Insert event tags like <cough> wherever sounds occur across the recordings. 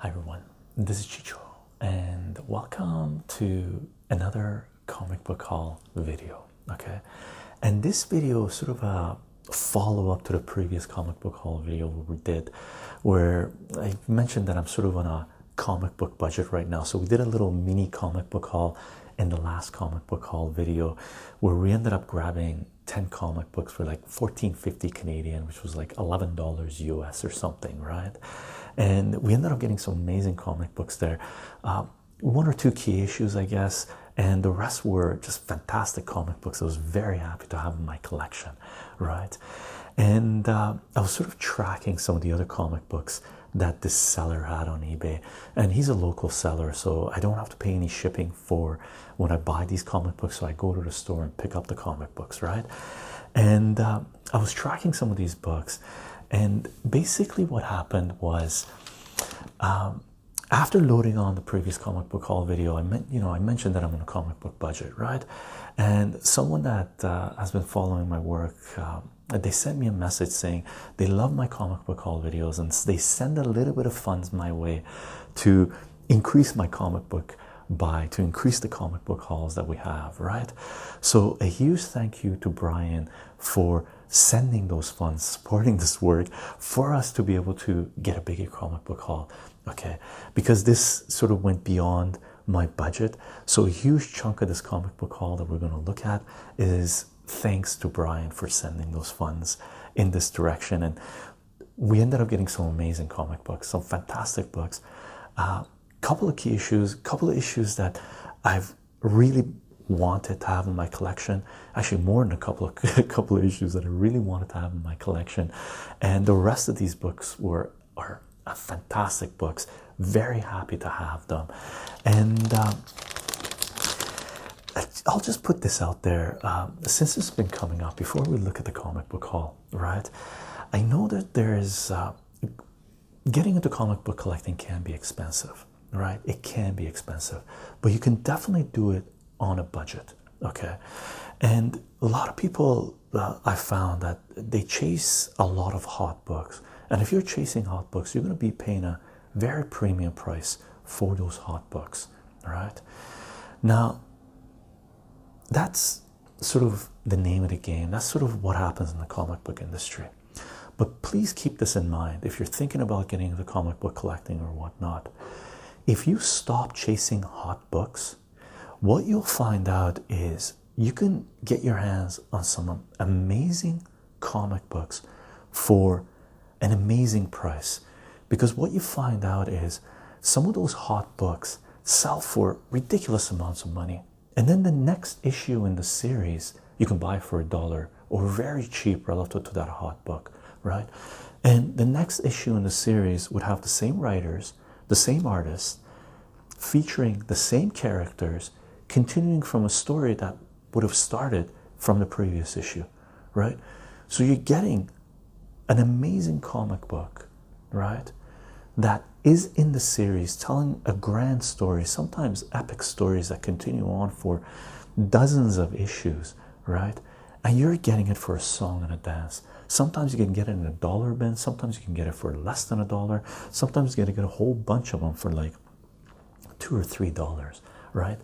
Hi everyone, this is Chicho and welcome to another comic book haul video. Okay, and this video is sort of a follow up to the previous comic book haul video we did where I mentioned that I'm sort of on a comic book budget right now. So we did a little mini comic book haul in the last comic book haul video where we ended up grabbing 10 comic books for like 14.50 Canadian, which was like $11 US or something, right? And we ended up getting some amazing comic books there. Um, one or two key issues, I guess, and the rest were just fantastic comic books. I was very happy to have in my collection, right? And uh, I was sort of tracking some of the other comic books that this seller had on eBay, and he's a local seller, so I don't have to pay any shipping for when I buy these comic books. So I go to the store and pick up the comic books, right? And uh, I was tracking some of these books, and basically, what happened was um, after loading on the previous comic book haul video, I meant you know, I mentioned that I'm on a comic book budget, right? And someone that uh, has been following my work. Um, they sent me a message saying they love my comic book haul videos and they send a little bit of funds my way to increase my comic book by to increase the comic book hauls that we have, right? So, a huge thank you to Brian for sending those funds, <laughs> supporting this work for us to be able to get a bigger comic book haul, okay? Because this sort of went beyond my budget. So, a huge chunk of this comic book haul that we're going to look at is thanks to Brian for sending those funds in this direction. And we ended up getting some amazing comic books, some fantastic books. A uh, couple of key issues, a couple of issues that I've really wanted to have in my collection. Actually, more than a couple of <laughs> couple issues that I really wanted to have in my collection. And the rest of these books were are fantastic books very happy to have them, and um, I'll just put this out there. Um, since it's been coming up, before we look at the comic book hall, right? I know that there is uh, getting into comic book collecting can be expensive, right? It can be expensive, but you can definitely do it on a budget, okay? And a lot of people uh, I found that they chase a lot of hot books and if you're chasing hot books, you're going to be paying a very premium price for those hot books. All right. Now, that's sort of the name of the game. That's sort of what happens in the comic book industry. But please keep this in mind if you're thinking about getting into comic book collecting or whatnot. If you stop chasing hot books, what you'll find out is you can get your hands on some amazing comic books for an amazing price because what you find out is some of those hot books sell for ridiculous amounts of money, and then the next issue in the series you can buy for a dollar or very cheap relative to that hot book, right? And the next issue in the series would have the same writers, the same artists, featuring the same characters continuing from a story that would have started from the previous issue, right? So you're getting an amazing comic book, right? That is in the series telling a grand story, sometimes epic stories that continue on for dozens of issues, right? And you're getting it for a song and a dance. Sometimes you can get it in a dollar bin, sometimes you can get it for less than a dollar, sometimes you to get a whole bunch of them for like two or three dollars, right?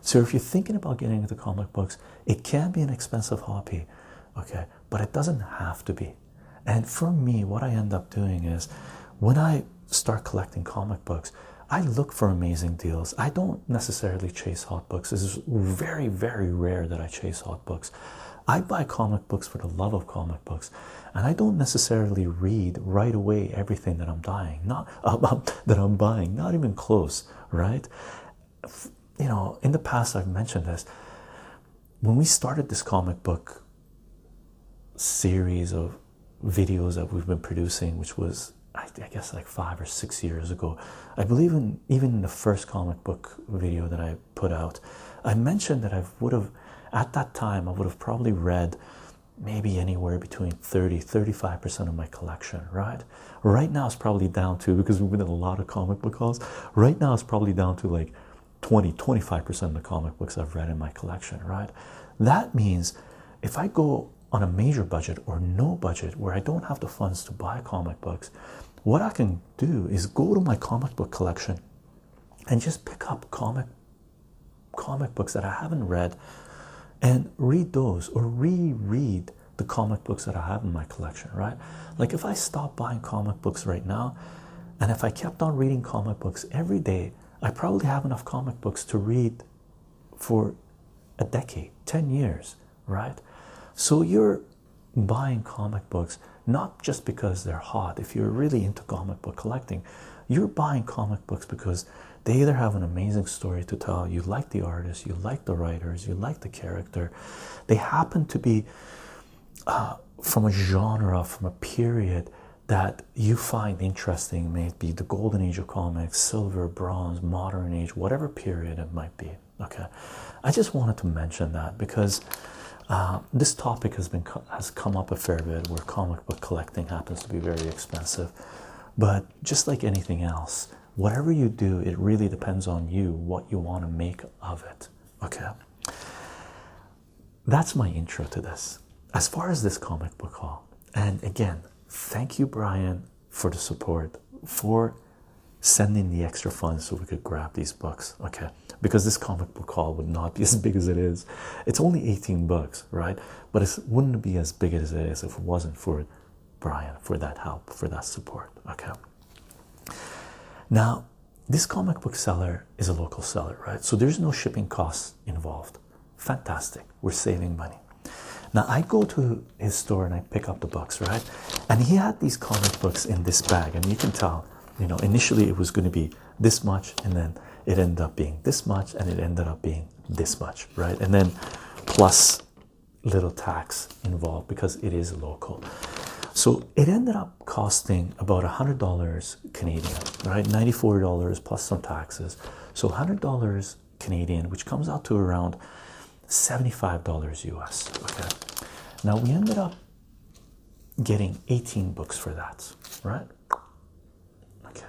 So if you're thinking about getting into comic books, it can be an expensive hobby, okay, but it doesn't have to be. And for me, what I end up doing is when I start collecting comic books, I look for amazing deals. I don't necessarily chase hot books. It's very, very rare that I chase hot books. I buy comic books for the love of comic books and I don't necessarily read right away everything that I'm buying. not <laughs> um, um, that I'm buying, not even close, right? You know, in the past I've mentioned this. When we started this comic book series of videos that we've been producing, which was I guess like five or six years ago, I believe in even in the first comic book video that I put out, I mentioned that I would have at that time i would have probably read maybe anywhere between 30 35 percent of my collection right right now it's probably down to because we've been in a lot of comic book hauls right now it's probably down to like 20 25 percent of the comic books i've read in my collection right that means if i go on a major budget or no budget where i don't have the funds to buy comic books what i can do is go to my comic book collection and just pick up comic comic books that I haven't read and read those or reread the comic books that I have in my collection, right? Like if I stop buying comic books right now and if I kept on reading comic books every day, I probably have enough comic books to read for a decade, 10 years, right? So you're buying comic books not just because they're hot. If you're really into comic book collecting, you're buying comic books because they either have an amazing story to tell, you like the artist, you like the writers, you like the character. They happen to be uh, from a genre, from a period that you find interesting, may be the golden age of comics, silver, bronze, modern age, whatever period it might be. Okay, I just wanted to mention that because. Uh, um, this topic has been has come up a fair bit where comic book collecting happens to be very expensive but just like anything else whatever you do it really depends on you what you want to make of it okay that's my intro to this as far as this comic book haul and again thank you brian for the support for sending the extra funds so we could grab these books okay because this comic book haul would not be <laughs> as big as it is. It's only 18 bucks, right? But it wouldn't be as big as it is if it wasn't for Brian, for that help, for that support. Okay. Now, this comic book seller is a local seller, right? So there's no shipping costs involved. Fantastic. We're saving money. Now, I go to his store and I pick up the books, right? And he had these comic books in this bag, and you can tell, you know, initially it was going to be this much and then it ended up being this much and it ended up being this much right and then plus little tax involved because it is local so it ended up costing about a hundred dollars Canadian right 94 dollars plus some taxes so hundred dollars Canadian which comes out to around 75 dollars US okay now we ended up getting 18 books for that right Okay,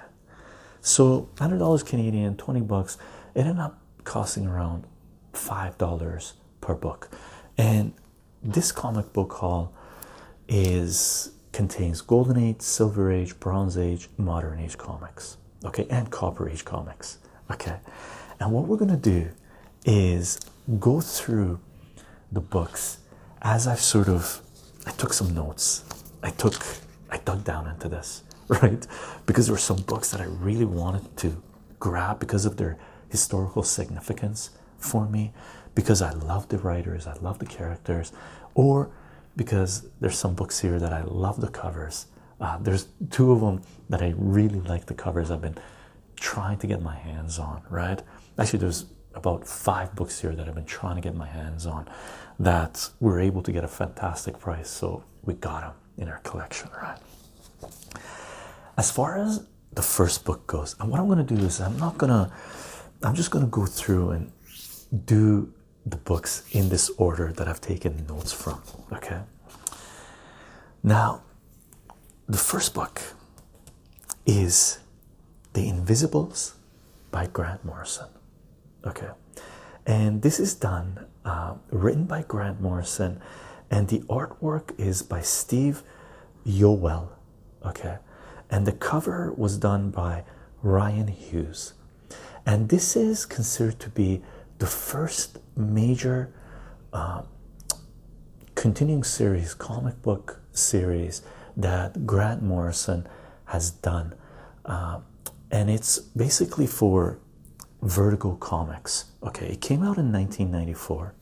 so hundred dollars Canadian, twenty bucks. It ended up costing around five dollars per book, and this comic book haul is contains Golden Age, Silver Age, Bronze Age, Modern Age comics. Okay, and Copper Age comics. Okay, and what we're gonna do is go through the books as I've sort of I took some notes. I took I dug down into this, <laughs> right? Because there were some books that I really wanted to grab because of their historical significance for me, because I love the writers, I love the characters, or because there's some books here that I love the covers. Uh, there's two of them that I really like the covers. I've been trying to get my hands on, right? Actually, there's about five books here that I've been trying to get my hands on that we're able to get a fantastic price. So we got them in our collection, right? As far as the first book goes, and what I'm going to do is I'm not going to, I'm just going to go through and do the books in this order that I've taken notes from, okay? Now, the first book is The Invisibles by Grant Morrison. Okay, and this is done, uh, written by Grant Morrison, and the artwork is by Steve Yowell. Okay, and the cover was done by Ryan Hughes, and this is considered to be the first major uh, continuing series comic book series that Grant Morrison has done, uh, and it's basically for Vertigo Comics. Okay, it came out in 1994.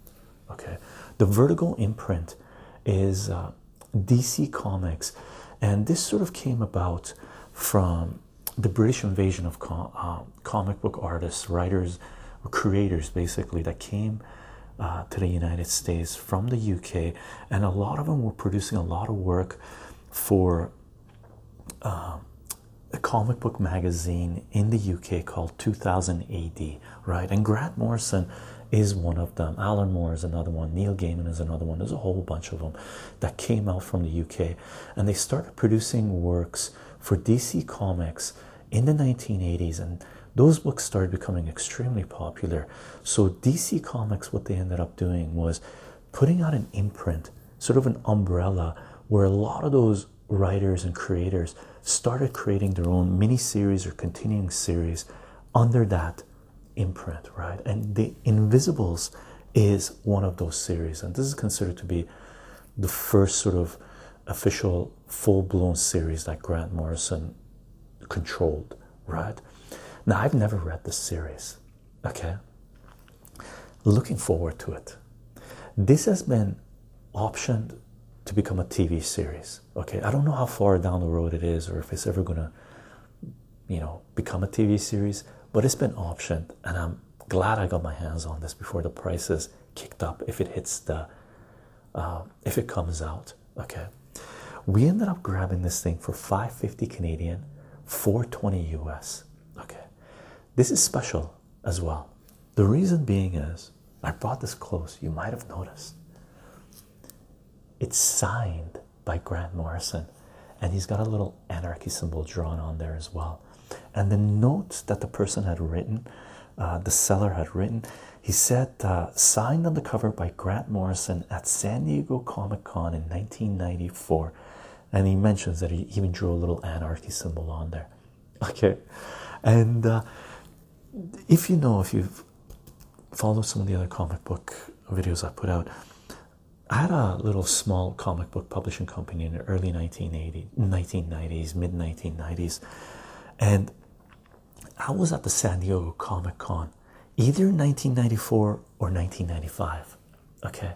Okay, the Vertical imprint is uh, DC Comics, and this sort of came about from the British invasion of uh, comic book artists, writers, creators, basically that came uh, to the United States from the UK, and a lot of them were producing a lot of work for uh, a comic book magazine in the UK called 2000 AD, right? And Grant Morrison is one of them, Alan Moore is another one, Neil Gaiman is another one. There's a whole bunch of them that came out from the UK, and they started producing works for DC Comics in the 1980s and those books started becoming extremely popular. So, DC Comics, what they ended up doing was putting out an imprint, sort of an umbrella, where a lot of those writers and creators started creating their own mini series or continuing series under that imprint, right? And The Invisibles is one of those series, and this is considered to be the first sort of official full blown series that Grant Morrison controlled right? Now, I've never read the series, okay? Looking forward to it. This has been optioned to become a TV series, okay? I don't know how far down the road it is or if it's ever gonna, you know, become a TV series, but it's been optioned and I'm glad I got my hands on this before the prices kicked up if it hits the um, if it comes out. Okay, we ended up grabbing this thing for 550 Canadian, 420 US. Okay, this is special as well. The reason being is I brought this close, you might have noticed. It's signed by Grant Morrison, and he's got a little anarchy symbol drawn on there as well. And the note that the person had written, uh, the seller had written, he said uh, signed on the cover by Grant Morrison at San Diego Comic Con in 1994. And he mentions that he even drew a little anarchy symbol on there. <laughs> Okay. And uh, if you know, if you've followed some of the other comic book videos I put out, I had a little small comic book publishing company in the early 1980s, 1990s, mid 1990s. And I was at the San Diego Comic Con either in 1994 or 1995. Okay,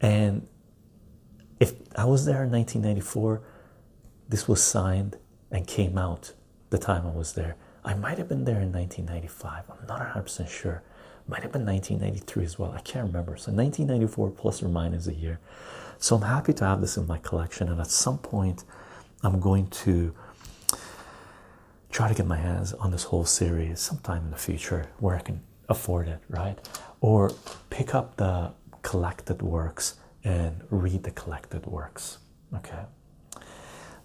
and if I was there in 1994, this was signed and came out the time I was there. I might have been there in 1995, I'm not 100% sure. Might have been 1993 as well. I can't remember. So 1994 plus or minus a year. So I'm happy to have this in my collection. And at some point, I'm going to try to get my hands on this whole series sometime in the future where I can afford it, right? Or pick up the collected works and read the collected works, okay?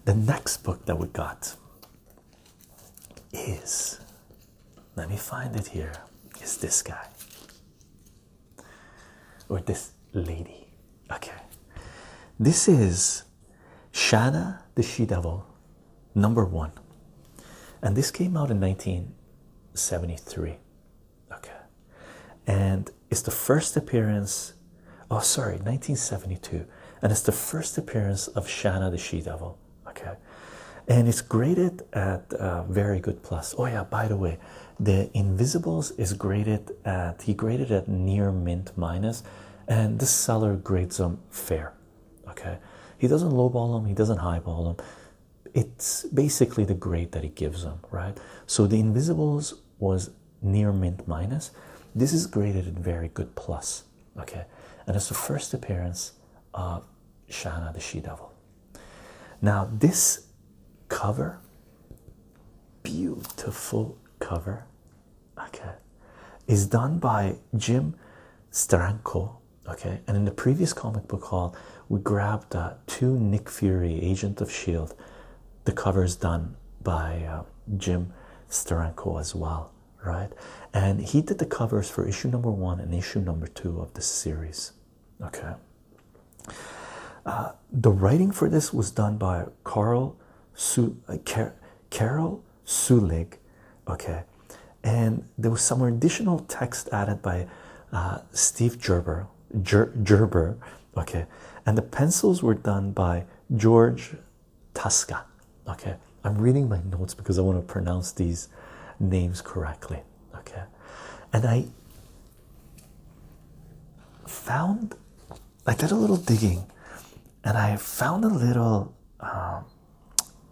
The next book that we got is, let me find it here, is this guy or this lady. Okay, this is Shanna the She Devil, number one, and this came out in 1973. Okay, and it's the first appearance, oh, sorry, 1972, and it's the first appearance of Shanna the She Devil. Okay, and it's graded at uh, very good plus. Oh, yeah, by the way, the Invisibles is graded at he graded it near mint minus, and this seller grades them fair. Okay, he doesn't lowball them, he doesn't highball them. It's basically the grade that he gives them, right? So the invisibles was near mint minus. This is graded at very good plus. Okay, and it's the first appearance of Shana the She Devil. Now this cover, beautiful cover okay is done by Jim Steranko okay and in the previous comic book haul we grabbed uh, two Nick Fury agent of shield the cover is done by uh, Jim Steranko as well right and he did the covers for issue number one and issue number two of the series okay uh, the writing for this was done by uh, Car Carl Carol Sulig, okay, and there was some additional text added by uh, Steve Gerber, Ger Gerber, okay, and the pencils were done by George Tasca, okay. I'm reading my notes because I want to pronounce these names correctly, okay, and I found I did a little digging and I found a little um,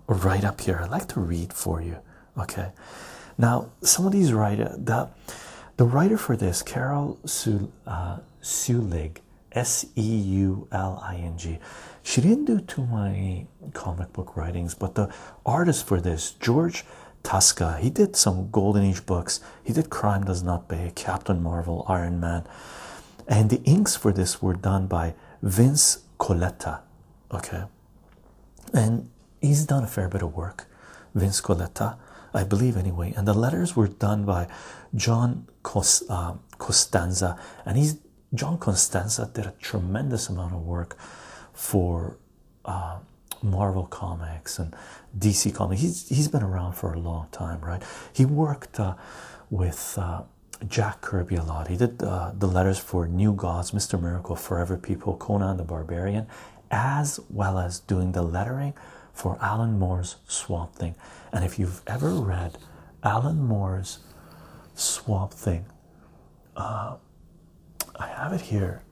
right up here. I'd like to read for you. Okay. Now, some of these writer the the writer for this, Carol Sue uh, S E U L I N G. She didn't do too many comic book writings, but the artist for this, George Tasca, he did some Golden Age books, he did Crime Does Not Pay, Captain Marvel, Iron Man, and the inks for this were done by Vince Coletta. Okay, and he's done a fair bit of work, Vince Coletta, I believe, anyway. And the letters were done by John uh, Costanza, and he's John Costanza did a tremendous amount of work for uh, Marvel Comics and DC Comics. He's he's been around for a long time, right? He worked uh, with uh, Jack Kirby a lot. He did uh, the letters for New Gods, Mr. Miracle, Forever People, Conan the Barbarian, as well as doing the lettering for Alan Moore's Swamp Thing. And if you've ever read Alan Moore's Swamp Thing, I have it here.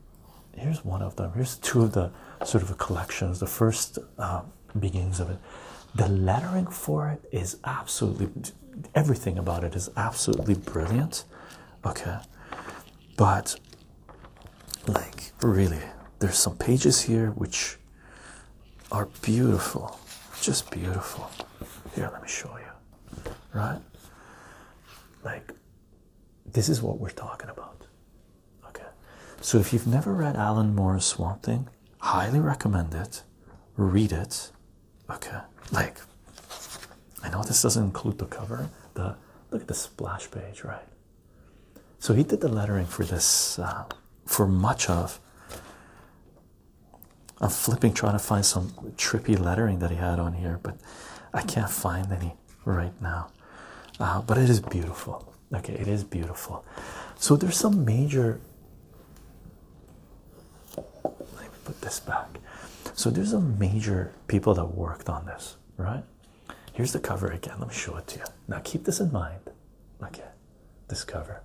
Here's one of them. Here's two of the sort of collections. The first uh, beginnings of it. The lettering for it is absolutely everything about it is absolutely brilliant. Okay, but like really, there's some pages here which are beautiful, just beautiful. Here, let me show you. Right, like this is what we're talking about. Okay, so if you've never read Alan Moore's Swamp Thing, highly recommend it. Read it. Okay, like I know this doesn't include the cover. The look at the splash page, right? So he did the lettering for this uh, for much of. I'm flipping trying to find some trippy lettering that he had on here, but I can't find any right now. Uh, but it is beautiful. Okay, it is beautiful. So there's some major. Let me put this back. So there's some major people that worked on this, right? Here's the cover again. Let me show it to you. Now keep this in mind. Okay, this cover.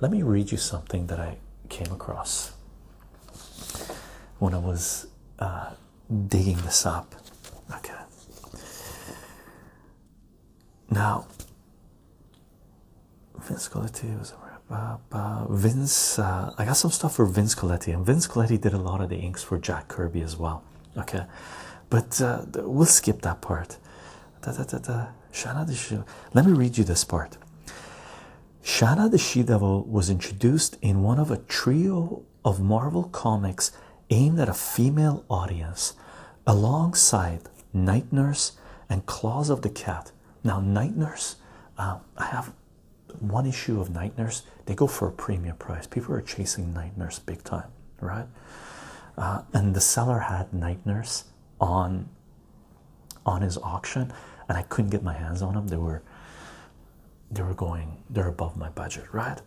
Let me read you something that I came across when I was uh, digging this up. Okay. Now, Vince Colletti was a rap. Uh, uh Vince, uh, I got some stuff for Vince Colletti, and Vince Colletti did a lot of the inks for Jack Kirby as well. Okay, but uh, we'll skip that part. Let me read you this part. Shana the She Devil was introduced in one of a trio of Marvel comics aimed at a female audience alongside Night Nurse and Claws of the Cat. Now, Night Nurse, um, I have one issue of Night Nurse, they go for a premium price. People are chasing Night Nurse big time, right? Uh, and the seller had Night Nurse on on his auction and I couldn't get my hands on them. They were they were going they're above my budget, right?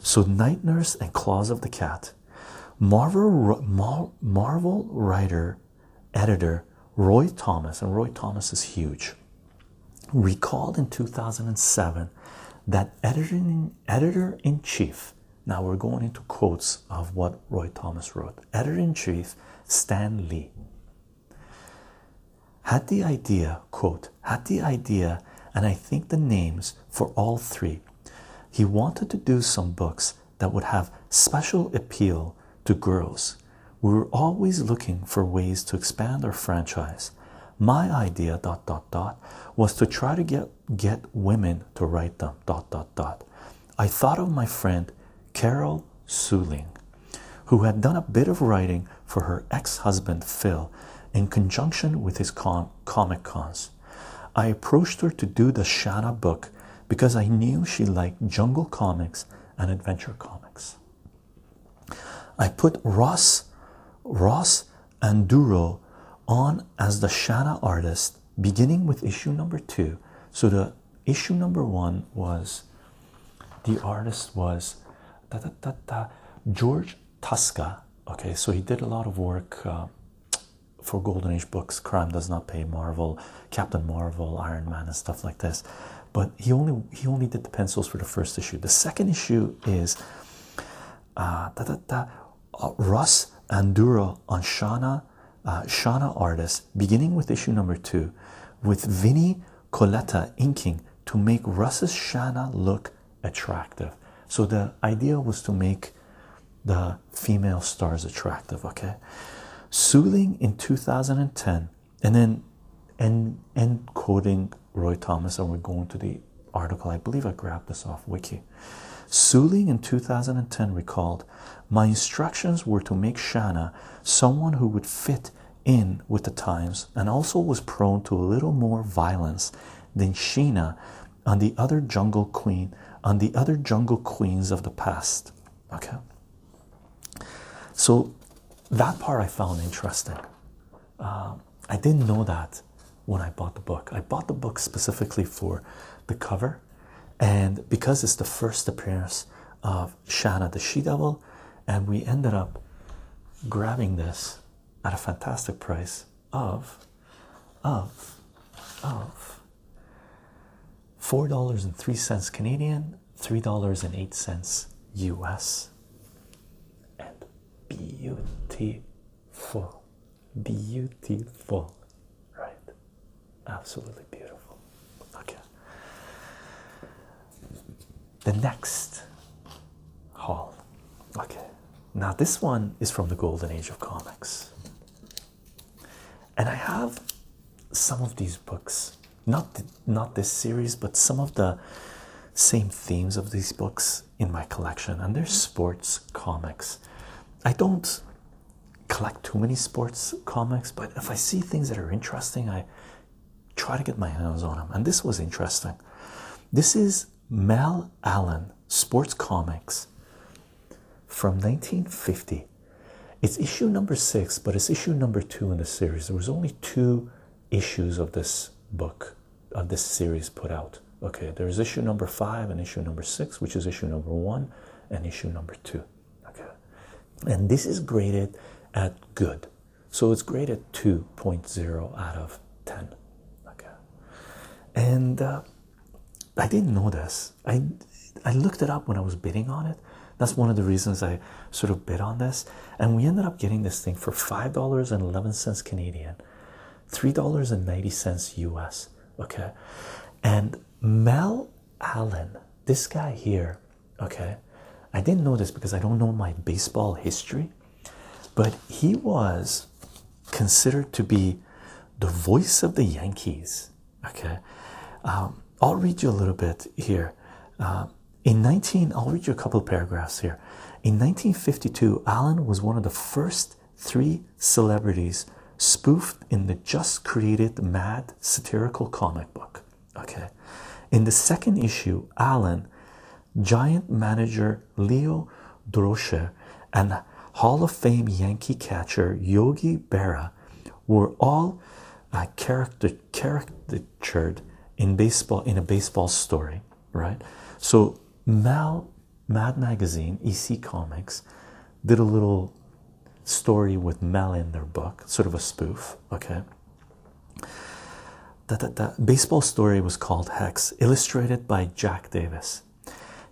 So, Night Nurse and Claws of the Cat. Marvel, Marvel writer, editor Roy Thomas, and Roy Thomas is huge, recalled in 2007 that editor editor in chief, now we're going into quotes of what Roy Thomas wrote, editor-in-chief Stan Lee had the idea, quote, had the idea, and I think the names for all three. He wanted to do some books that would have special appeal to girls. We were always looking for ways to expand our franchise. My idea dot dot dot was to try to get get women to write them dot dot dot. I thought of my friend Carol Suling, who had done a bit of writing for her ex-husband Phil in conjunction with his con Comic Cons. I approached her to do the Shada book because I knew she liked jungle comics and adventure comics. I put Ross, Ross and Duro on as the Shada artist, beginning with issue number two. So the issue number one was the artist was da, da, da, da, George Tuska. Okay, so he did a lot of work uh, for Golden Age books, Crime Does Not Pay, Marvel, Captain Marvel, Iron Man, and stuff like this. But he only he only did the pencils for the first issue. The second issue is uh, da, da, uh, Russ Anduro on Shana uh, Shana artist, beginning with issue number two, with Vinny Coletta inking to make Russ's Shana look attractive. So the idea was to make the female stars attractive, okay? Soothing in 2010, and then end, end quoting Roy Thomas, and we're going to the article. I believe I grabbed this off Wiki. Suling in 2010 recalled, My instructions were to make Shanna someone who would fit in with the times and also was prone to a little more violence than Sheena and the other jungle queen and the other jungle queens of the past. Okay. So that part I found interesting. Um, I didn't know that when I bought the book. I bought the book specifically for the cover, and because it's the first appearance of Shanna the She Devil, and we ended up grabbing this at a fantastic price of of of four dollars and three cents Canadian, three dollars and eight cents US. And beautiful, beautiful, right? Absolutely beautiful. Okay. The next hall. Okay. Now, this one is from the golden age of comics, and I have some of these books not not this series, but some of the same themes of these books in my collection, and they're sports comics. I don't collect too many sports comics, but if I see things that are interesting, I try to get my hands on them, and this was interesting. This is Mel Allen Sports Comics from 1950. It's issue number six, but it's issue number two in the series. There was only two issues of this book, of this series put out. Okay, there is issue number five and issue number six, which is issue number one and issue number two. Okay, and this is graded at good, so it's graded 2.0 out of 10. Okay, and uh, I didn't know this. I I looked it up when I was bidding on it. That's one of the reasons I sort of bid on this, and we ended up getting this thing for five dollars and eleven cents Canadian, three dollars and ninety cents U.S. Okay, and Mel Allen, this guy here. Okay, I didn't know this because I don't know my baseball history. But he was considered to be the voice of the Yankees. Okay, um, I'll read you a little bit here. Uh, in 19, I'll read you a couple paragraphs here. In 1952, Allen was one of the first three celebrities spoofed in the just created mad satirical comic book. Okay, in the second issue, Allen, giant manager Leo Drosher and Hall of Fame Yankee catcher Yogi Berra were all uh, character caricatured in baseball in a baseball story, right? So Mal Mad Magazine, EC Comics, did a little story with Mal in their book, sort of a spoof, okay? that baseball story was called Hex, illustrated by Jack Davis.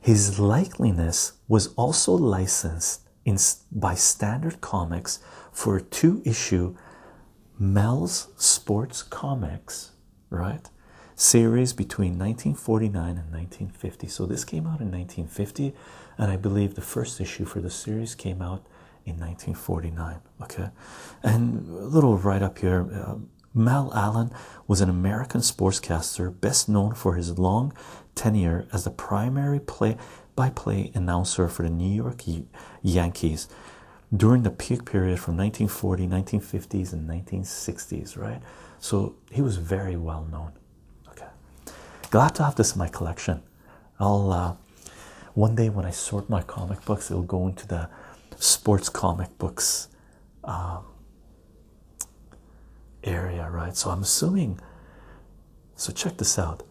His likeliness was also licensed in by Standard Comics for a two-issue Mel's Sports Comics, right? Series between 1949 and 1950. So this came out in 1950, and I believe the first issue for the series came out in 1949. Okay, and a little right up here. Uh, Mal Allen was an American sportscaster best known for his long tenure as the primary play by play announcer for the New York Yankees during the peak period from 1940, 1950s, and 1960s, right? So he was very well known. Okay, glad to have this in my collection. I'll uh, one day when I sort my comic books, it'll go into the sports comic books um, area, right? So I'm assuming. So check this out.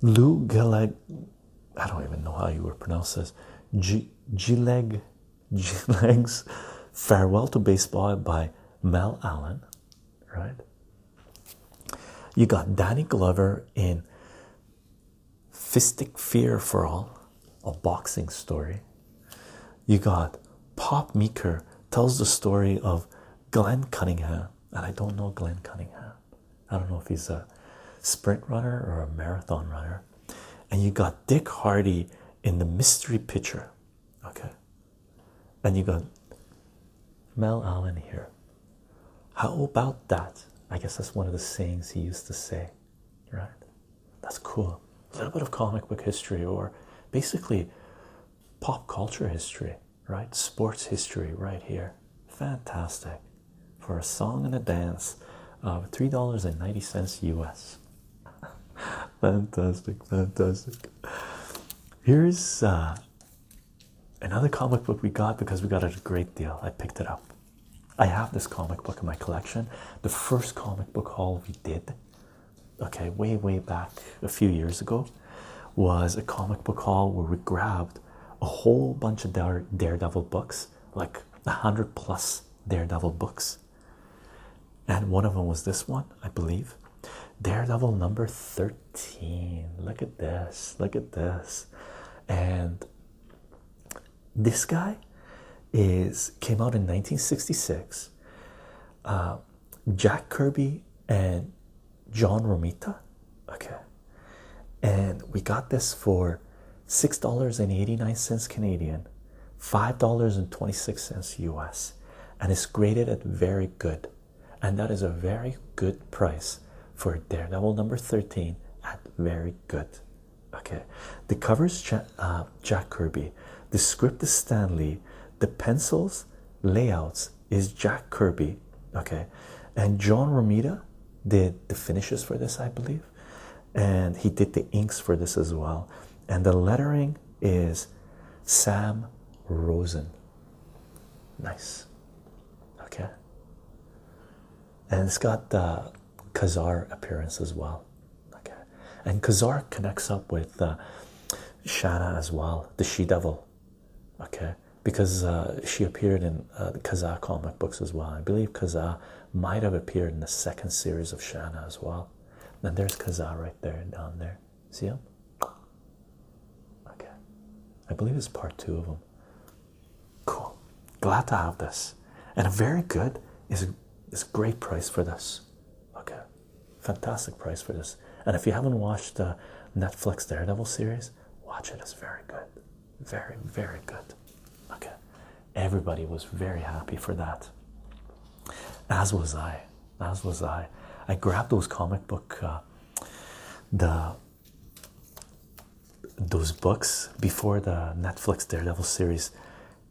Lou Gilleg, I don't even know how you would pronounce this. G Gilleg, Gileg's Farewell to Baseball by Mel Allen, right? You got Danny Glover in Fistic Fear for All, a boxing story. You got Pop Meeker tells the story of Glenn Cunningham, and I don't know Glenn Cunningham. I don't know if he's a sprint runner or a marathon runner. And you got Dick Hardy in the mystery picture. Okay. And you got Mel Allen here. How about that? I guess that's one of the sayings he used to say right? That's cool. A little bit of comic book history, or basically pop culture history, right? Sports history, right here. Fantastic for a song and a dance of $3.90 US. <laughs> fantastic, fantastic. Here's uh, another comic book we got because we got it a great deal. I picked it up. I have this comic book in my collection. The first comic book haul we did, okay, way, way back a few years ago, was a comic book haul where we grabbed a whole bunch of Dare Daredevil books, like a hundred plus Daredevil books. And one of them was this one, I believe. Daredevil number 13. Look at this. Look at this. And this guy is came out in 1966 uh, jack kirby and john romita okay and we got this for six dollars and 89 cents canadian five dollars and 26 cents us and it's graded at very good and that is a very good price for daredevil number 13 at very good Okay, the covers uh, Jack, Kirby, the script is Stanley, the pencils layouts is Jack Kirby. Okay, and John Romita did the finishes for this, I believe, and he did the inks for this as well. And the lettering is Sam Rosen. Nice, okay, and it's got the Khazar appearance as well. Okay, and Khazar connects up with uh, Shana as well, the she devil. Okay, because uh, she appeared in uh, Khazar comic books as well. I believe Khazar might have appeared in the second series of Shana as well. And there's Khazar right there down there. See him? Okay, I believe it's part two of them. Cool. Glad to have this. And a very good is a, is great price for this. Okay. Fantastic price for this. And if you haven't watched the Netflix Daredevil series, watch it. It's very good. Very, very good. Okay. Everybody was very happy for that. As was I. As was I. I grabbed those comic book, uh, the those books before the Netflix Daredevil series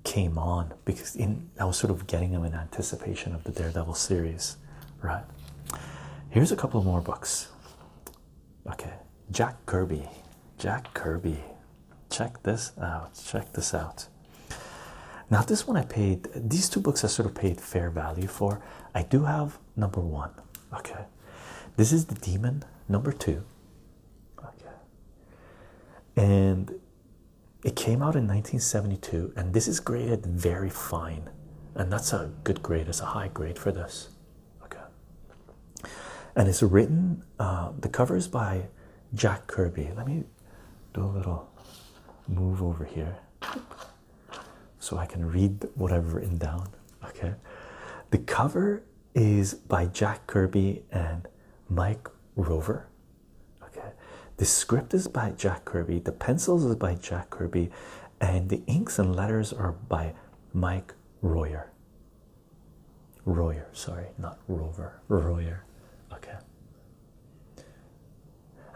came on because I was sort of getting them in anticipation of the Daredevil series, right? Here's a couple more books. Okay, Jack Kirby. Jack Kirby. Check this out. Check this out. Now, this one I paid, these two books I sort of paid fair value for. I do have number one. Okay, this is The Demon, number two. Okay. And it came out in 1972, and this is graded very fine, and that's a good grade, it's a high grade for this. Okay. And it's written, uh, the cover is by Jack Kirby. Let me do a little move over here so I can read what I've written down. Okay. The cover is by Jack Kirby and Mike Rover. Okay, the script is by Jack Kirby, the pencils is by Jack Kirby, and the inks and letters are by Mike Royer. Royer, sorry, not Rover, Royer. Okay.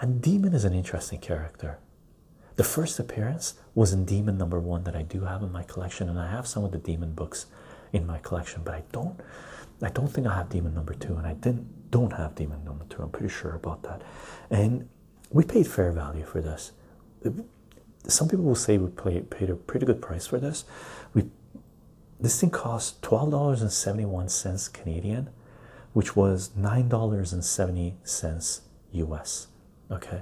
And Demon is an interesting character. The first appearance was in Demon number one that I do have in my collection, and I have some of the Demon books in my collection, but I don't. I don't think I have Demon number two, and I didn't don't have Demon number two. I'm pretty sure about that. And we paid fair value for this. Some people will say we paid a pretty good price for this. We this thing cost twelve dollars and seventy one cents Canadian, which was nine dollars and seventy cents U.S okay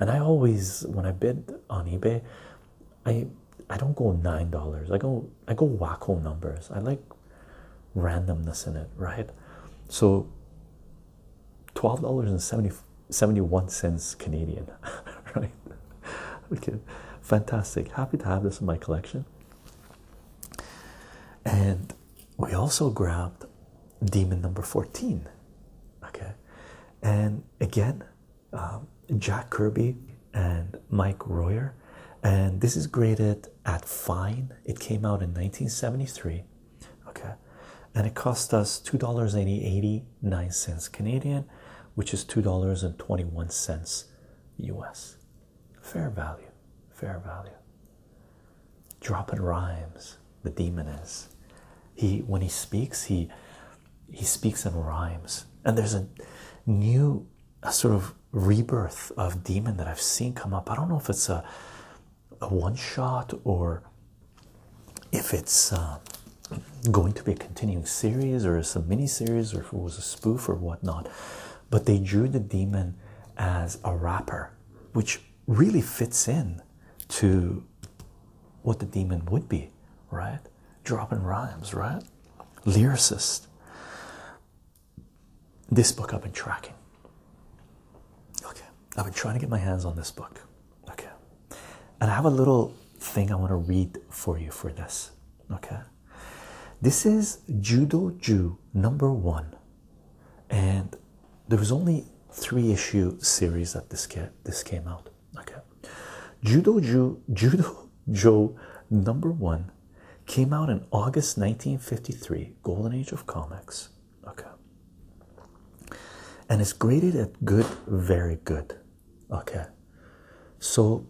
and i always when i bid on ebay i i don't go nine dollars i go i go wacko numbers i like randomness in it right so twelve dollars and seventy seventy one cents canadian <laughs> right okay fantastic happy to have this in my collection and we also grabbed demon number 14 okay and again um, Jack Kirby and Mike Royer, and this is graded at fine. It came out in 1973, okay, and it cost us two dollars and eighty-nine cents Canadian, which is two dollars and twenty-one cents U.S. Fair value, fair value. Dropping rhymes the demon is. He when he speaks, he he speaks in rhymes, and there's a new sort of rebirth of demon that I've seen come up. I don't know if it's a a one shot or if it's uh, going to be a continuing series or it's a mini series or if it was a spoof or whatnot, but they drew the demon as a rapper, which really fits in to what the demon would be, right? Dropping rhymes, right? Lyricist. This book I've been tracking. Okay, I've been trying to get my hands on this book. Okay, and I have a little thing I want to read for you for this. Okay, this is Judo Jew number one, and there was only three issue series that this came out. Okay, Judo Joe, number one came out in August 1953, golden age of comics. Okay, and it's graded at good, very good. Okay, so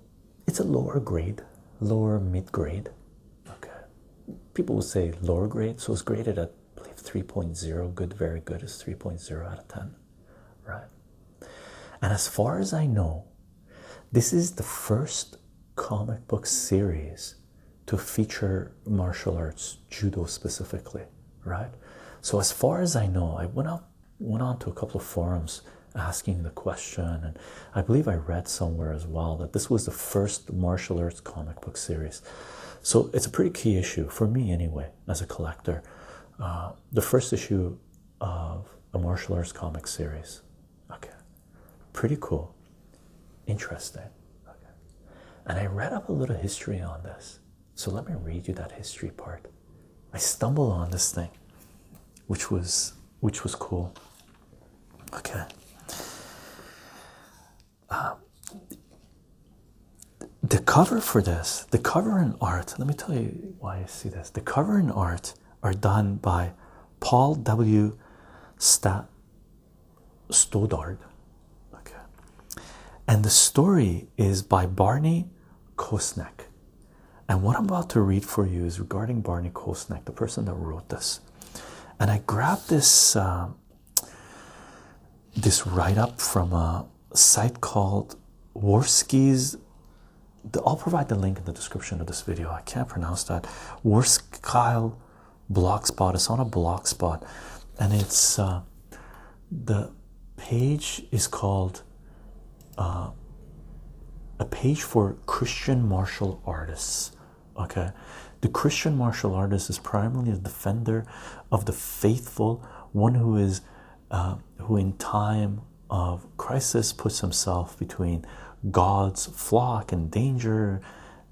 it's a lower grade, lower mid grade. Okay, people will say lower grade, so it's graded at believe 3.0 good very good is 3.0 out of 10 right and as far as I know this is the first comic book series to feature martial arts judo specifically right so as far as I know I went out went on to a couple of forums asking the question and I believe I read somewhere as well that this was the first martial arts comic book series so it's a pretty key issue for me anyway as a collector. Uh, the first issue of a martial arts comic series. Okay, pretty cool, interesting. Okay, and I read up a little history on this, so let me read you that history part. I stumbled on this thing, which was which was cool. Okay. Uh, the cover for this, the cover in art, let me tell you why I see this. The cover in art are done by Paul W. Stat Stoddard. Okay. And the story is by Barney Kosnek. And what I'm about to read for you is regarding Barney Kosnek, the person that wrote this. And I grabbed this uh, this write up from a site called Worski's. I'll provide the link in the description of this video. I can't pronounce that. Worskyle Blogspot. It's on a spot, and it's uh, the page is called uh, a page for Christian martial artists. Okay, the Christian martial artist is primarily a defender of the faithful, one who is uh, who in time of crisis puts himself between God's flock and danger.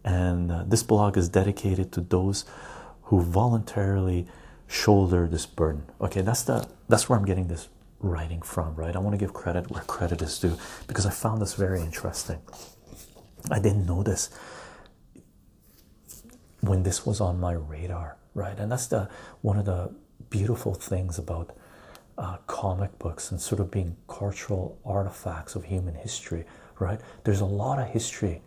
And uh, this blog is dedicated to those who voluntarily shoulder this burden. Okay, that's the that's where I'm getting this writing from, right? I want to give credit where credit is due because I found this very interesting. I didn't know this when this was on my radar, right? And that's the one of the beautiful things about uh, comic books and sort of being cultural artifacts of human history, right? There's a lot of history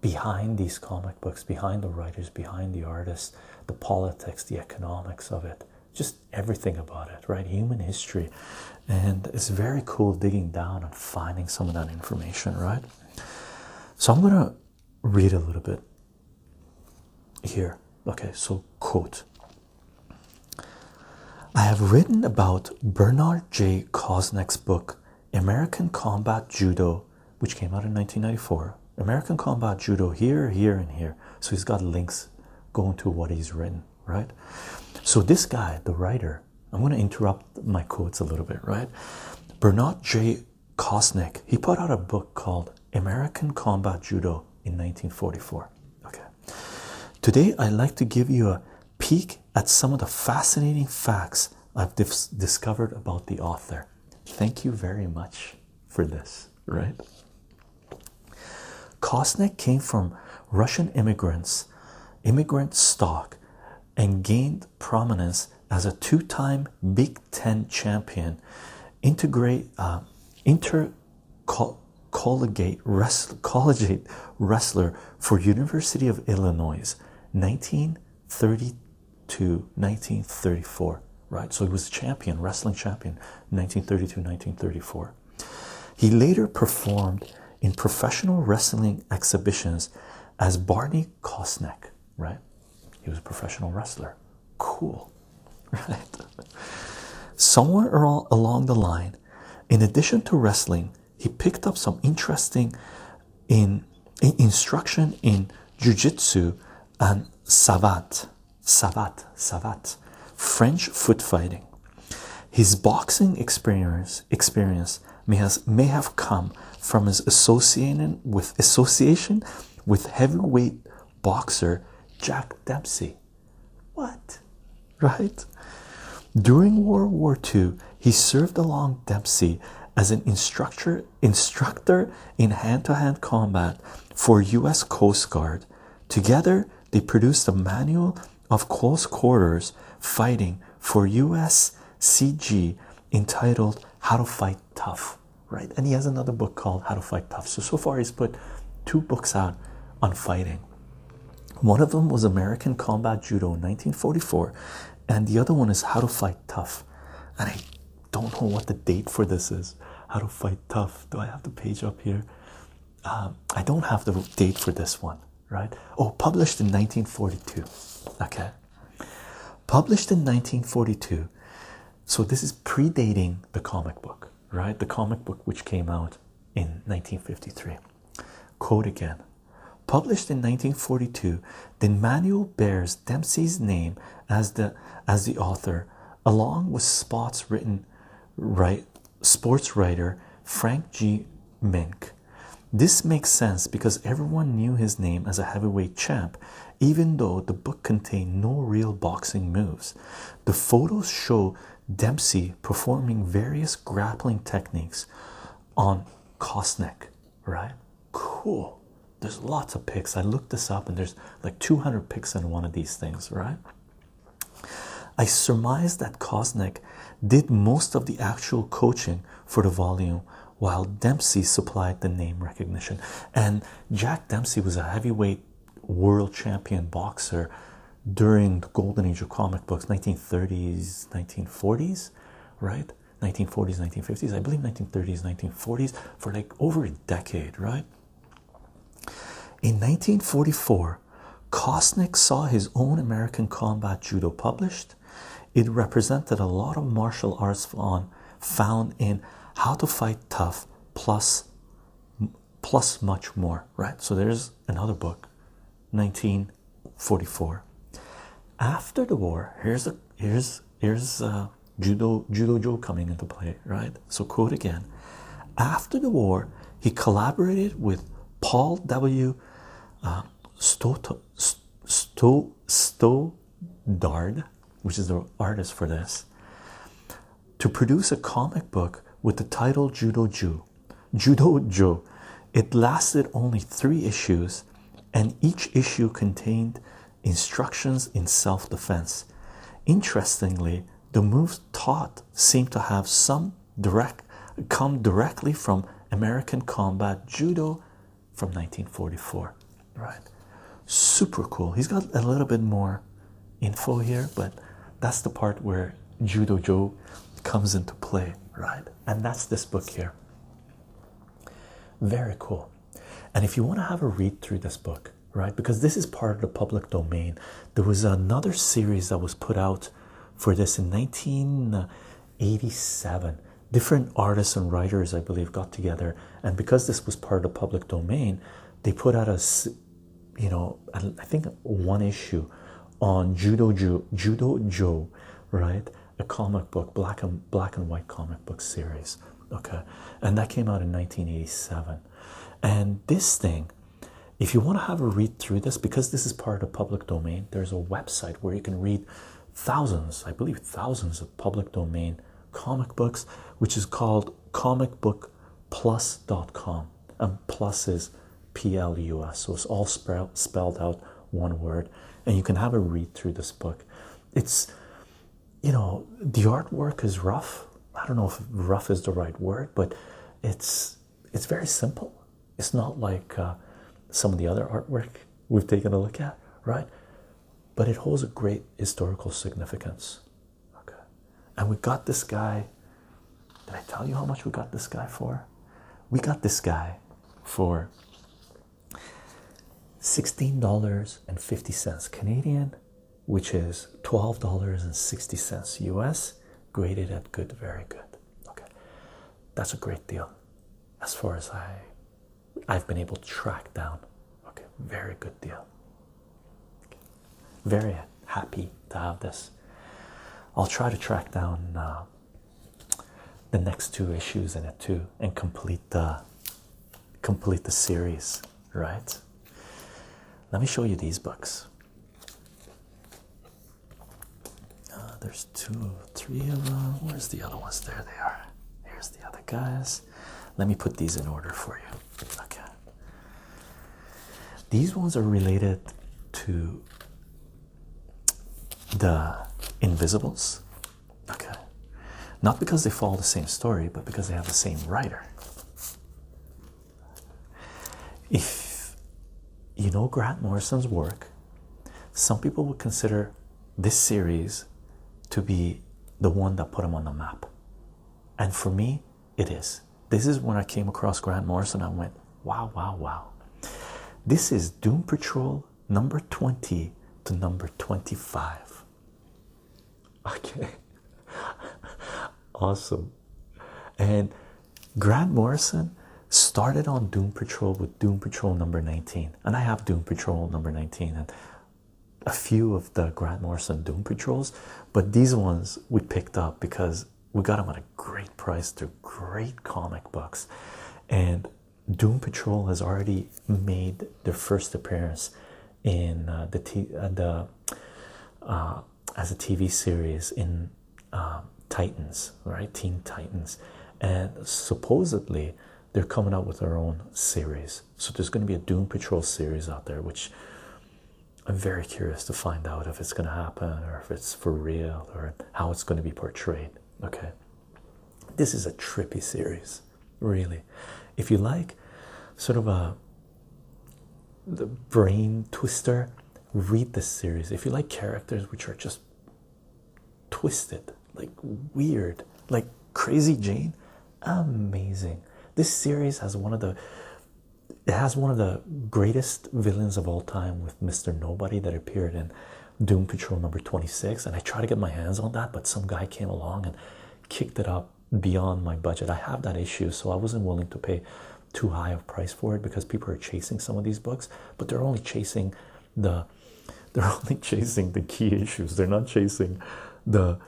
behind these comic books, behind the writers, behind the artists, the politics, the economics of it, just everything about it, right? Human history. And it's very cool digging down and finding some of that information, right? So I'm going to read a little bit here. Okay, so quote I have written about Bernard J. Koznick's book, American Combat Judo, which came out in 1994. American Combat Judo here, here, and here. So he's got links going to what he's written, right? So this guy, the writer, I'm going to interrupt my quotes a little bit, right? Bernard J. Kosnick, he put out a book called American Combat Judo in 1944. Okay. Today, I'd like to give you a peek at some of the fascinating facts I've discovered about the author. Thank you very much for this, right? Kosnick came from Russian immigrants, immigrant stock and gained prominence as a two-time Big Ten champion, integrate uh, intercollegiate wrestler, collegiate wrestler for University of Illinois, 1932 1934. Right, so he was champion, wrestling champion, 1932-1934. He later performed in professional wrestling exhibitions as Barney Kosnek, right? He was a professional wrestler. Cool, <laughs> right? Somewhere along the line, in addition to wrestling, he picked up some interesting in, in instruction in jujitsu and savat, savat, savat, French foot fighting. His boxing experience may, has, may have come from his association with association with heavyweight boxer Jack Dempsey. What? Right? During World War II, he served along Dempsey as an instructor instructor in hand to -hand combat for US Coast Guard. Together, they produced a manual of close quarters fighting for US CG entitled How to Fight Tough, right? And he has another book called How to Fight Tough. So, so far, he's put two books out on fighting. One of them was American Combat Judo in 1944, and the other one is How to Fight Tough. And I don't know what the date for this is. How to Fight Tough. Do I have the page up here? Um, I don't have the date for this one, right? Oh, published in 1942. Okay. Published in 1942, so this is predating the comic book, right? The comic book which came out in 1953. Quote again. Published in 1942, the manual bears Dempsey's name as the as the author, along with spots written right sports writer Frank G. Mink this makes sense because everyone knew his name as a heavyweight champ, even though the book contained no real boxing moves. The photos show Dempsey performing various grappling techniques on Kosnick, right? Cool. There's lots of pics. I looked this up and there's like 200 pics in one of these things, right? I surmise that Kosnick did most of the actual coaching for the volume while Dempsey supplied the name recognition. And Jack Dempsey was a heavyweight world champion boxer during the golden age of comic books 1930s 1940s right 1940s 1950s i believe 1930s 1940s for like over a decade right in 1944 kosnick saw his own american combat judo published it represented a lot of martial arts found in How to Fight Tough plus plus much more, right? So there's another book, 1944. After the war, here's a here's here's uh, judo judo Joe coming into play, right? So quote again. After the war, he collaborated with Paul W. Uh, Stoto, Stow Dard, which is the artist for this, to produce a comic book with the title Judo Jew. Judo Joe. It lasted only three issues, and each issue contained instructions in self-defense. Interestingly, the moves taught seem to have some direct come directly from American combat judo from 1944 right super cool he's got a little bit more info here but that's the part where judo joe comes into play right and that's this book here very cool and if you want to have a read through this book right because this is part of the public domain there was another series that was put out for this in 1987 different artists and writers, I believe, got together, and because this was part of the public domain, they put out a, you know, I think one issue on Judo Joe, Judo right? A comic book, black and black and white comic book series. Okay, and that came out in 1987. And this thing, if you want to have a read through this, because this is part of the public domain, there's a website where you can read thousands, I believe, thousands of public domain comic books, which is called comicbookplus.com. And plus is P L U S, so it's all spelled out one word. And you can have a read through this book. It's, you know, the artwork is rough. I don't know if rough is the right word, but it's it's very simple. It's not like uh, some of the other artwork we've taken a look at, right? But it holds a great historical significance. Okay. And we got this guy. Did I tell you how much we got this guy for? We got this guy for $16.50 Canadian, which is $12.60 US, graded at good, very good. Okay. That's a great deal as far as I I've been able to track down. Okay, very good deal. Very happy to have this. I'll try to track down uh, the next two issues in it too, and complete the complete the series. Right? Let me show you these books. Uh, there's two, three of them. Uh, where's the other ones? There they are. Here's the other guys. Let me put these in order for you. Okay. These ones are related to the Invisibles. Okay. Not because they follow the same story, but because they have the same writer. If you know Grant Morrison's work, some people would consider this series to be the one that put him on the map. And for me, it is. This is when I came across Grant Morrison. I went, wow, wow, wow. This is Doom Patrol number 20 to number 25. Okay. <laughs> awesome. And Grant Morrison started on Doom Patrol with Doom Patrol number 19 and i have doom patrol number 19 and a few of the grant morrison doom patrols but these ones we picked up because we got them at a great price They're great comic books and doom patrol has already made their first appearance in uh, the uh, the uh, as a tv series in titans right teen titans and supposedly they're coming out with their own series. So there's going to be a Doom Patrol series out there, which I'm very curious to find out if it's going to happen or if it's for real or how it's going to be portrayed. Okay, this is a trippy series, really. If you like, sort of a the brain twister, read this series. If you like characters which are just twisted, like weird, like Crazy Jane. Amazing. This series has one of the it has one of the greatest villains of all time with Mr. Nobody that appeared in Doom Patrol number 26. And I tried to get my hands on that, but some guy came along and kicked it up beyond my budget. I have that issue, so I wasn't willing to pay too high of price for it because people are chasing some of these books, but they're only chasing the <laughs> they're only chasing the key issues. They're not chasing the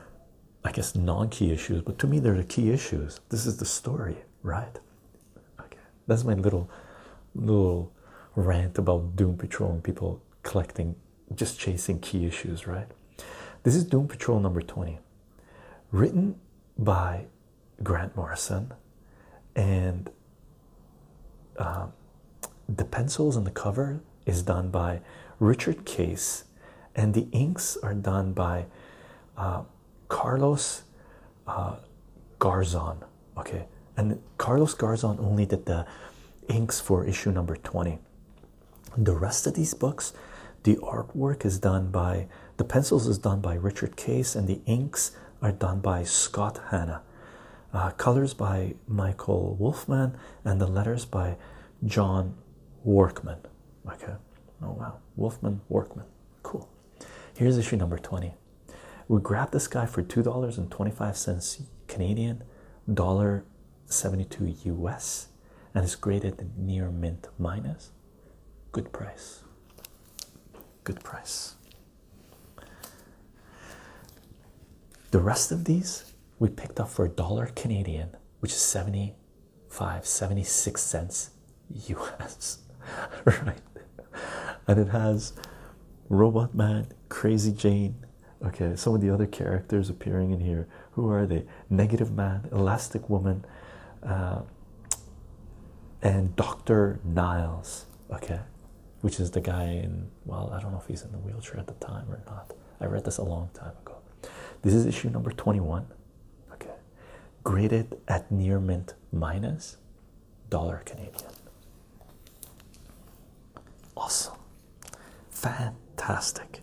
I guess non-key issues, but to me they're the key issues. This is the story, right? Okay. That's my little little rant about Doom Patrol and people collecting just chasing key issues, right? This is Doom Patrol number 20, written by Grant Morrison and um, the pencils on the cover is done by Richard Case, and the inks are done by uh, Carlos uh, Garzon. Okay, and Carlos Garzon only did the inks for issue number 20. The rest of these books, the artwork is done by the pencils is done by Richard Case, and the inks are done by Scott Hanna. Uh, colors by Michael Wolfman, and the letters by John Workman. Okay, oh wow, Wolfman Workman, cool. Here's issue number 20. We grabbed this guy for $2.25 Canadian, $1.72 US, and it's graded near mint minus. Good price. Good price. The rest of these we picked up for a dollar Canadian, which is 75, 76 cents US, <laughs> right? And it has Robot Man, Crazy Jane. Okay, some of the other characters appearing in here. Who are they? Negative Man, Elastic Woman, uh, and Dr. Niles. Okay, which is the guy in, well, I don't know if he's in the wheelchair at the time or not. I read this a long time ago. This is issue number 21. Okay. Graded at near mint minus dollar Canadian. Awesome. Fantastic.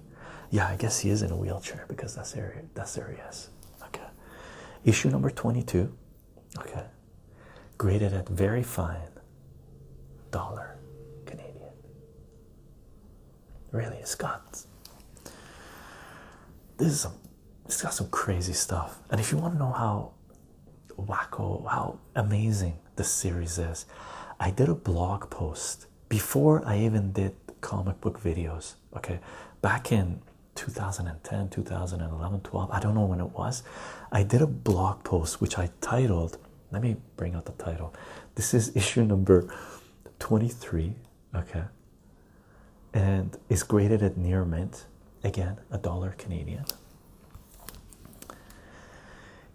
Yeah, I guess he is in a wheelchair because that's area that's areas. Okay. Issue number 22 Okay, graded at very fine dollar Canadian. Really, it's got this is some, it's got some crazy stuff. And if you want to know how wacko, how amazing this series is, I did a blog post before I even did comic book videos. Okay, back in 2010, 2011, 12, I don't know when it was i did a blog post which i titled let me bring out the title this is issue number 23 okay and it's graded at near mint again a dollar canadian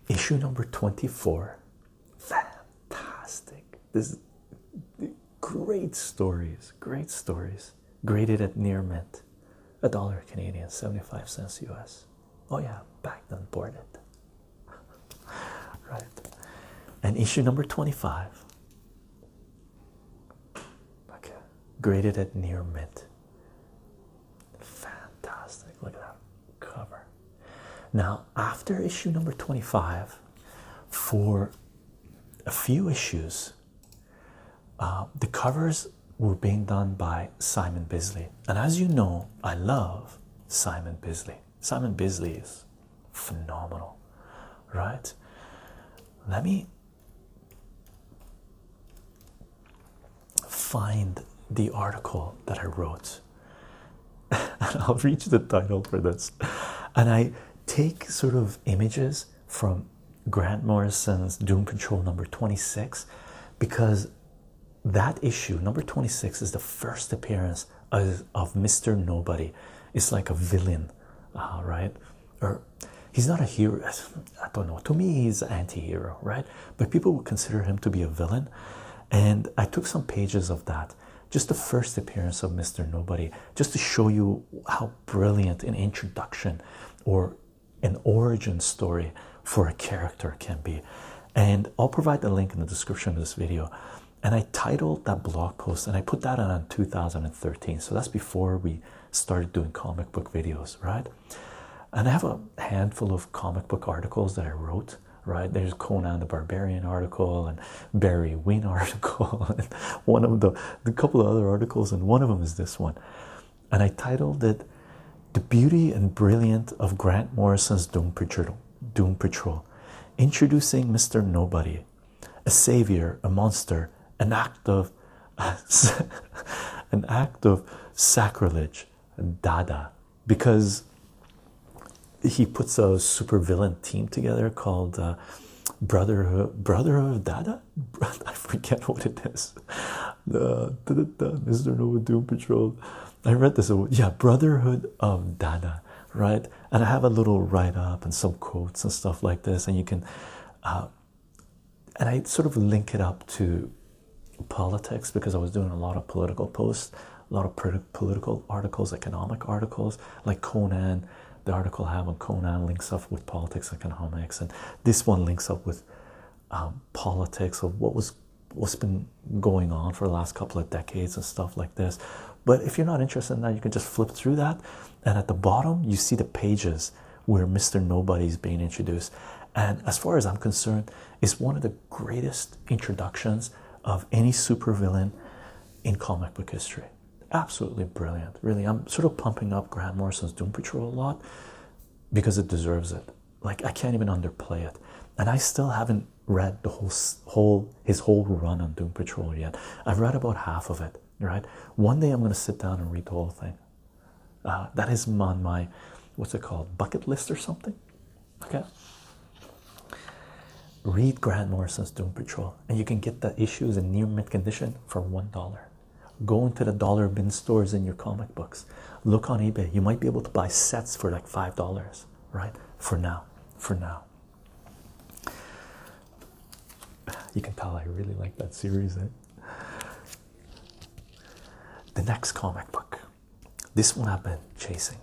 issue number 24 fantastic this great stories great stories graded at near mint a dollar Canadian, 75 cents US. Oh, yeah, back then, board it. <laughs> right. And issue number 25. Okay, graded at near mint. Fantastic. Look at that cover. Now, after issue number 25, for a few issues, uh, the covers were being done by Simon Bisley, and as you know, I love Simon Bisley. Simon Bisley is phenomenal, right? Let me find the article that I wrote, <laughs> and I'll read the title for this. And I take sort of images from Grant Morrison's Doom Patrol number 26 because that issue, number 26, is the first appearance of, Mr. Nobody. It's like a villain, uh, right? Or he's not a hero. <sighs> I don't know. To me, he's an anti hero, right? But people would consider him to be a villain. And I took some pages of that, just the first appearance of Mr. Nobody, just to show you how brilliant an introduction or an origin story for a character can be. And I'll provide the link in the description of this video. And I titled that blog post and I put that on in 2013. So that's before we started doing comic book videos, right? And I have a handful of comic book articles that I wrote, right? There's Conan the Barbarian article and Barry Wynn <laughs> article, and one of the, the couple of other articles, and one of them is this one and I titled it The Beauty and Brilliance of Grant Morrison's Doom Patrol. Doom Patrol. Introducing Mr. Nobody, a savior, a monster, an act of <laughs> an act of sacrilege, Dada, because he puts a supervillain team together called uh, Brother Brotherhood of Dada, <laughs> I forget what it is. The, the, the, the Mr. Nova Doom Patrol. I read this. Uh, yeah, Brotherhood of Dada, right? And I have a little write up and some quotes and stuff like this, and you can, uh, and I sort of link it up to politics because I was doing a lot of political posts, a lot of political articles, economic articles, like Conan. The article I have on Conan links up with politics, and economics, and this one links up with um, politics of what was what's been going on for the last couple of decades and stuff like this. But if you're not interested in that, you can just flip through that, and at the bottom you see the pages where Mr. Nobody's being introduced. And as far as I'm concerned, it's one of the greatest introductions of any supervillain in comic book history. Absolutely brilliant, really. I'm sort of pumping up Grant Morrison's Doom Patrol a lot because it deserves it. Like I can't even underplay it. And I still haven't read the whole whole his whole run on Doom Patrol yet. I've read about half of it. Right. One day I'm gonna sit down and read the whole thing. Uh, that is on my what's it called bucket list or something. Okay. Read Grant Morrison's Doom Patrol, and you can get the issues in near mint condition for one dollar. Go into the dollar bin stores in your comic books. Look on eBay. You might be able to buy sets for like five dollars, right? For now, for now. You can tell I really like that series. Eh? The next comic book. This one I've been chasing.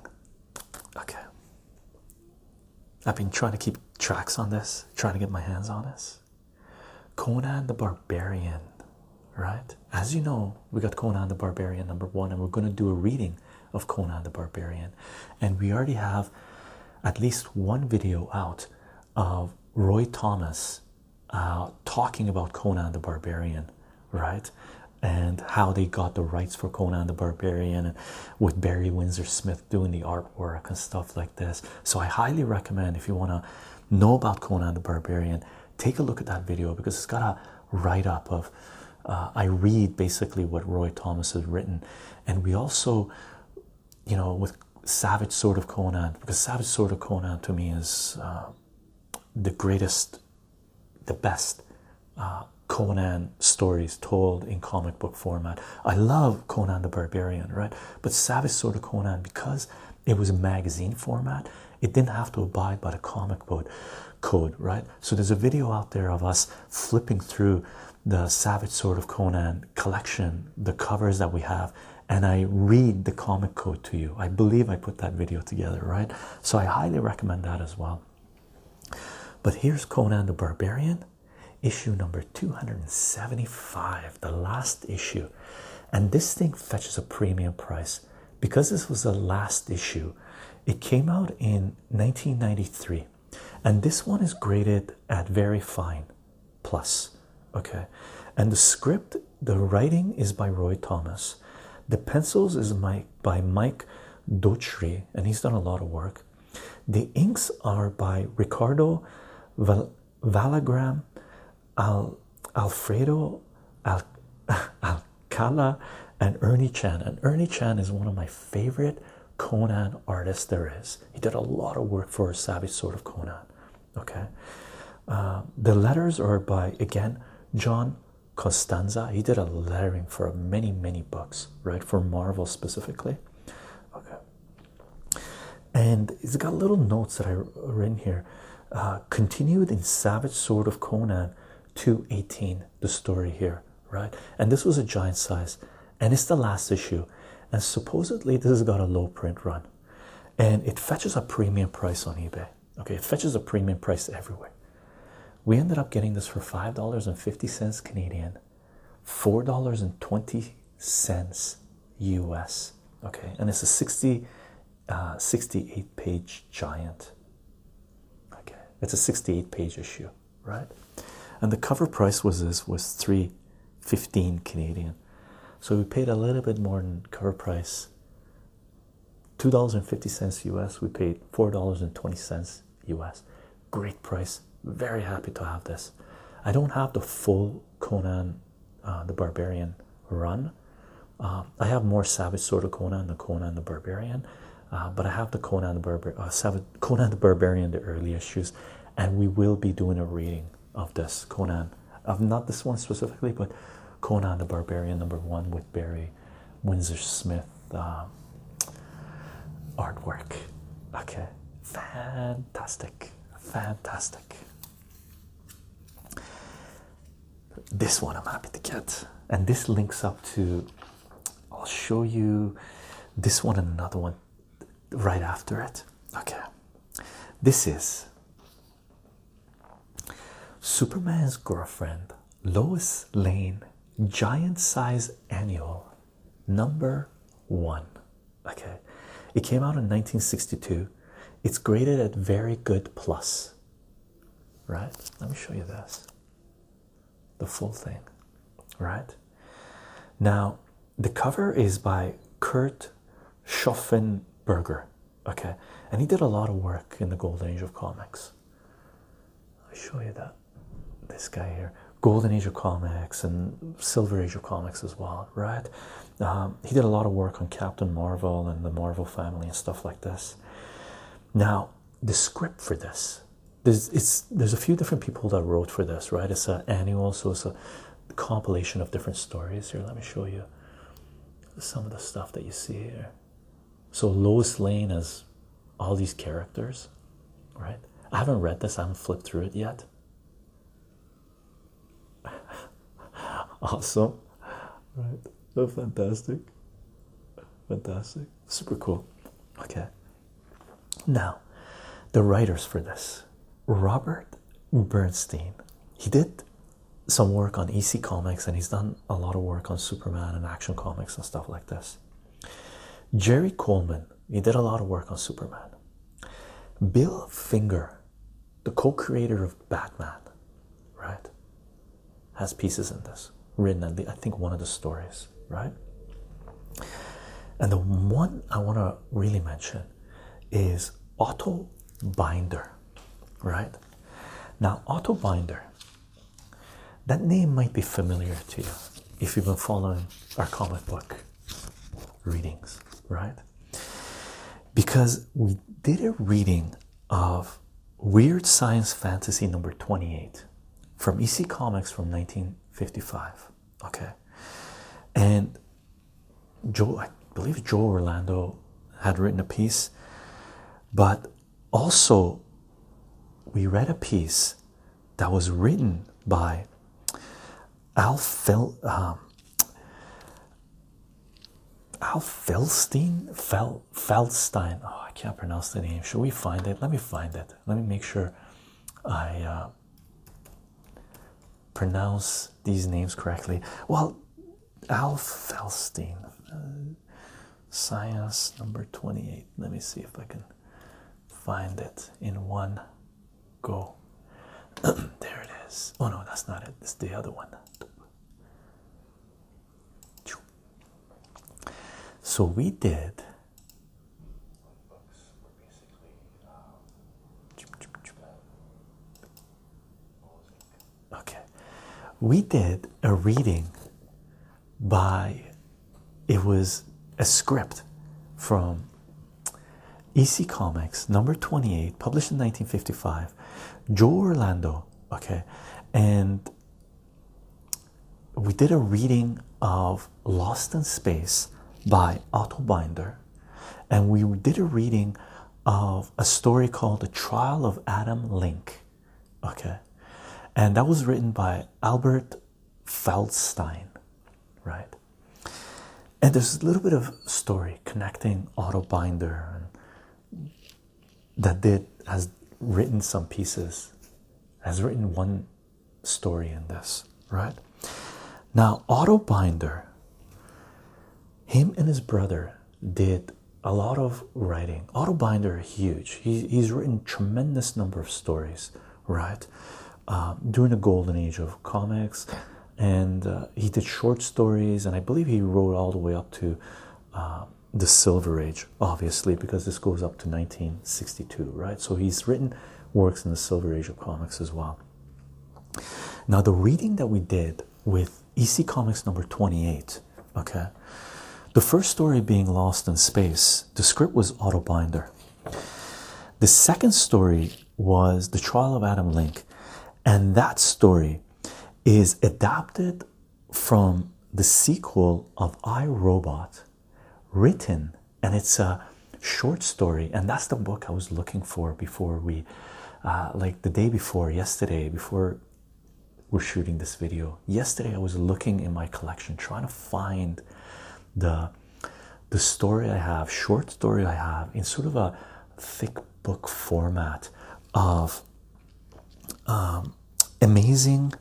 Okay. I've been trying to keep tracks on this, trying to get my hands on this. Conan the Barbarian, right? As you know, we got Conan the Barbarian number one, and we're going to do a reading of Conan the Barbarian. And we already have at least one video out of Roy Thomas uh, talking about Conan the Barbarian, right? And how they got the rights for Conan the Barbarian, and with Barry Windsor Smith doing the artwork and stuff like this. So I highly recommend if you want to know about Conan the Barbarian, take a look at that video because it's got a write up of. Uh, I read basically what Roy Thomas has written, and we also, you know, with Savage Sword of Conan, because Savage Sword of Conan to me is uh, the greatest, the best uh, Conan stories told in comic book format. I love Conan the Barbarian, right? But Savage Sword of Conan, because it was a magazine format it didn't have to abide by the comic code right so there's a video out there of us flipping through the savage sword of conan collection the covers that we have and i read the comic code to you i believe i put that video together right so i highly recommend that as well but here's conan the barbarian issue number 275 the last issue and this thing fetches a premium price because this was the last issue. It came out in 1993, and this one is graded at very fine plus. Okay, and the script, the writing is by Roy Thomas, the pencils is Mike, by Mike Dotry, and he's done a lot of work. The inks are by Ricardo Val Valagram, Al Alfredo, Al <laughs> Alcala, and Ernie Chan. And Ernie Chan is one of my favorite Conan artists there is. He did a lot of work for a Savage sort of Conan. Okay. Uh, the letters are by again John Costanza. He did a lettering for many, many books, right? For Marvel specifically. Okay. And he's got little notes that I in here. Uh, continued in Savage Sword of Conan 218, the story here, right? And this was a giant size, and it's the last issue. And supposedly, this has got a low print run and it fetches a premium price on eBay. Okay, it fetches a premium price everywhere. We ended up getting this for $5.50 Canadian, $4.20 US. Okay, and it's a 60 uh, 68 page giant. Okay, it's a 68 page issue, right? And the cover price was this was 315 Canadian. So we paid a little bit more than cover price. $2.50 US, we paid $4.20 US. Great price. Very happy to have this. I don't have the full Conan uh, the Barbarian run. Uh, I have more Savage Sword of Conan, the Conan and the Barbarian, uh, but I have the Conan the Barbar Savage Conan the Barbarian, the early issues, and we will be doing a reading of this Conan, of not this one specifically, but Conan the Barbarian number one with Barry Windsor Smith artwork. Okay, fantastic, fantastic. This one I'm happy to get, and this links up to I'll show you this one and another one right after it. Okay, this is Superman's Girlfriend Lois Lane Giant Size Annual Number One. Okay, it came out in 1962. It's graded at very good plus. Right? Let me show you this. The full thing. Right? Now, the cover is by Kurt Schoffenberger. Okay, and he did a lot of work in the golden age of comics. I'll show you that. This guy here, golden age of comics and silver age of comics as well, right? Um, he did a lot of work on Captain Marvel and the Marvel family and stuff like this. Now, the script for this, there's there's a few different people that wrote for this, right? It's an annual, so it's a compilation of different stories. Here, let me show you some of the stuff that you see here. So Lois Lane has all these characters, right? I haven't read this, I haven't flipped through it yet. <laughs> awesome, right? Oh, fantastic, fantastic, super cool. Okay, now the writers for this Robert Bernstein, he did some work on EC Comics and he's done a lot of work on Superman and Action Comics and stuff like this. Jerry Coleman, he did a lot of work on Superman. Bill Finger, the co-creator of Batman, right, has pieces in this written I think one of the stories, right? And the one I want to really mention is Otto Binder, right? Now, Otto Binder, that name might be familiar to you if you've been following our comic book readings, right? because we did a reading of Weird Science Fantasy number 28 from EC Comics from 1955. Okay, and Joe, I believe Joe Orlando had written a piece, but also we read a piece that was written by Al Fel, um, Al Felstein, Fel, Felstein. Oh, I can't pronounce the name. Should we find it? Let me find it. Let me make sure I uh, pronounce these names correctly. Well, Al Felstein, uh, science number 28. Let me see if I can find it in one go. <clears throat> there it is. Oh no, that's not it. It's the other one. So we did. Okay, we did a reading by it was a script from EC Comics, number 28, published in 1955. Joe Orlando, okay, and we did a reading of Lost in Space by Otto Binder, and we did a reading of a story called The Trial of Adam Link, okay, and that was written by Albert Feldstein, right? And there's a little bit of story connecting Otto Binder that did has written some pieces, has written one story in this, right? Now Otto Binder, him and his brother did a lot of writing. Otto Binder, huge. He, he's written tremendous number of stories, right? Uh, during the golden age of comics, and uh, he did short stories, and I believe he wrote all the way up to uh, the Silver Age, obviously, because this goes up to 1962, right? So he's written works in the Silver Age of comics as well. Now, the reading that we did with EC Comics number 28, okay, the first story being Lost in Space, the script was Autobinder. The second story was The Trial of Adam Link, and that story is adapted from the sequel of I Robot, written, and it's a short story, and that's the book I was looking for before we, uh, like the day before, yesterday, before we're shooting this video. Yesterday, I was looking in my collection trying to find the the story I have, short story I have, in sort of a thick book format of um, amazing.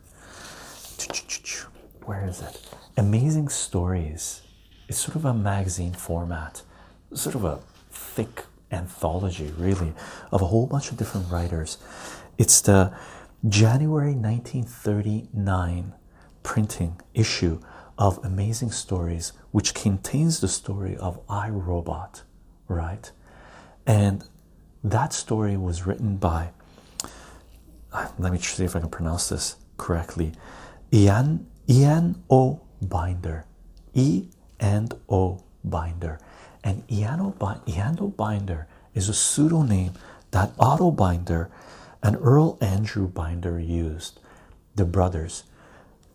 Where is it? Amazing Stories. It's sort of a magazine format, sort of a thick anthology, really, of a whole bunch of different writers. It's the January 1939 printing issue of Amazing Stories which contains the story of *I, Robot*, right? And that story was written by, uh, let me see if I can pronounce this correctly, Ian, Ian O. Binder. E Binder. And Ian o, Binder is a pseudonym that Otto Binder and Earl Andrew Binder used the brothers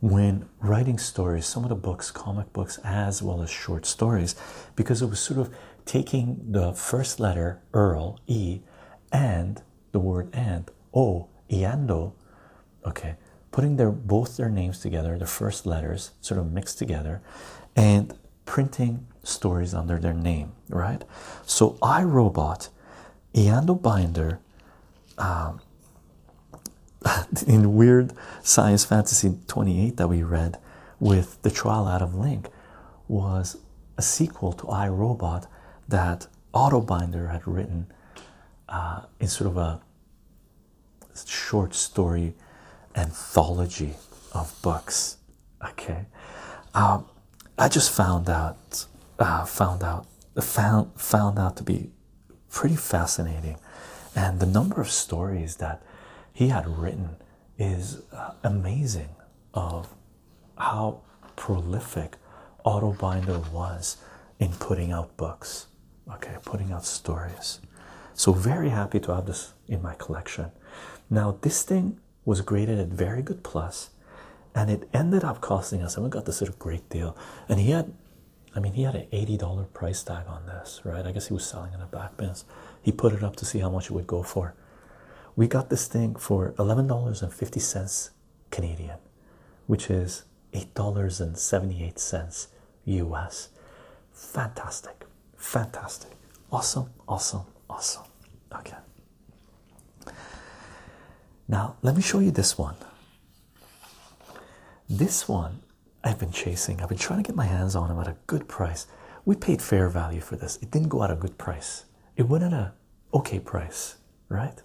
when writing stories, some of the books, comic books, as well as short stories, because it was sort of taking the first letter Earl E and the word and O Eando, okay, putting their both their names together, the first letters sort of mixed together, and printing stories under their name, right? So I Robot, Eando Binder um, <laughs> in weird science fantasy 28 that we read with the trial out of link was a sequel to i robot that autobinder had written uh, in sort of a short story anthology of books okay um, i just found out uh, found out found found out to be pretty fascinating. And the number of stories that he had written is uh, amazing of how prolific Otto Binder was in putting out books, okay, putting out stories. So, very happy to have this in my collection. Now, this thing was graded at very good plus, and it ended up costing us, and we got this at a great deal. And he had I mean, he had an $80 price tag on this, right? I guess he was selling it at back bins. He put it up to see how much it would go for. We got this thing for $11.50 Canadian, which is $8.78 US. Fantastic, fantastic, awesome, awesome, awesome. Okay. Now, let me show you this one. This one I've been chasing, I've been trying to get my hands on him at a good price. We paid fair value for this, it didn't go at a good price, it went at a okay price, right?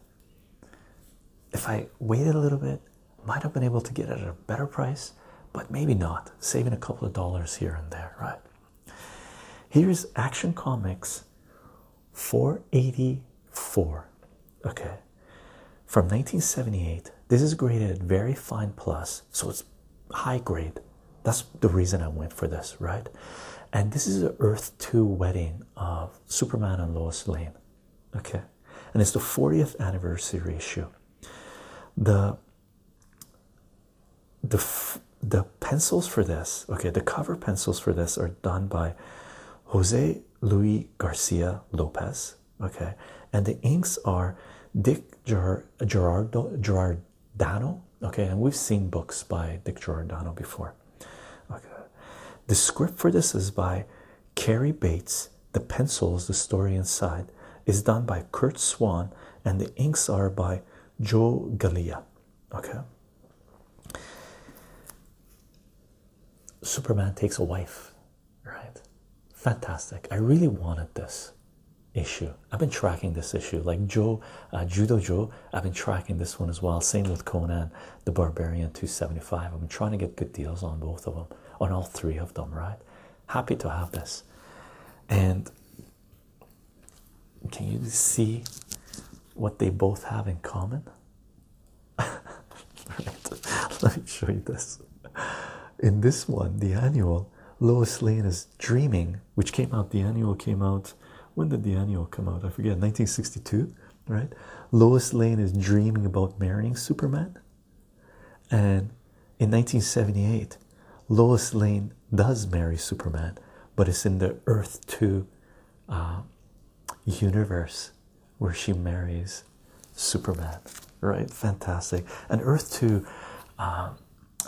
If I waited a little bit, might have been able to get it at a better price, but maybe not, saving a couple of dollars here and there, right? Here's Action Comics 484 okay from 1978 this is graded at very fine plus so it's high grade that's the reason i went for this right and this is the earth 2 wedding of superman and lois lane okay and it's the 40th anniversary issue the the the pencils for this okay the cover pencils for this are done by jose Luis Garcia Lopez. Okay, and the inks are Dick Gerardo Gerardano. Okay, and we've seen books by Dick Giordano before. Okay, the script for this is by Carrie Bates. The pencils, the story inside, is done by Kurt Swan, and the inks are by Joe Gallia. Okay, Superman takes a wife, right? Fantastic. I really wanted this issue. I've been tracking this issue, like Joe, uh, Judo Joe. I've been tracking this one as well. Same with Conan the Barbarian 275. I've been trying to get good deals on both of them, on all three of them, right? Happy to have this. And can you see what they both have in common? <laughs> Let me show you this. In this one, the annual, Lois Lane is dreaming, which came out, the annual came out. When did the annual come out? I forget, 1962, right? Lois Lane is dreaming about marrying Superman. And in 1978, Lois Lane does marry Superman, but it's in the Earth 2 uh, universe where she marries Superman, right? Fantastic. And Earth 2, um,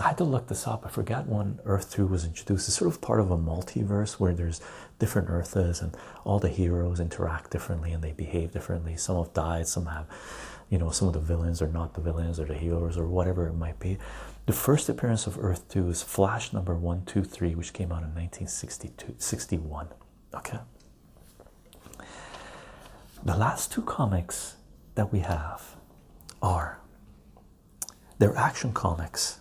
I had to look this up. I forgot when Earth 2 was introduced. It's sort of part of a multiverse where there's different Earths, and all the heroes interact differently and they behave differently. Some have died, some have, you know, some of the villains are not the villains or the heroes or whatever it might be. The first appearance of Earth 2 is Flash number 123, which came out in 1962, 61. Okay. The last two comics that we have are they're action comics.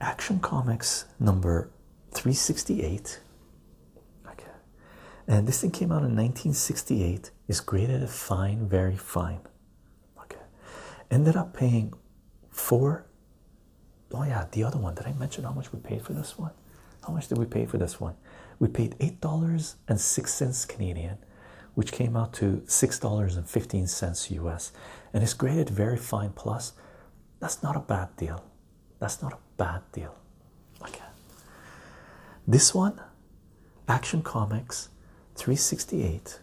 Action comics number 368. Okay. And this thing came out in 1968. Is graded at fine, very fine. Okay. Ended up paying four oh yeah the other one did i mention how much we paid for this one how much did we pay for this one we paid eight dollars and six cents canadian which came out to six dollars and fifteen cents us and it's graded very fine plus that's not a bad deal that's not a bad deal okay this one action comics 368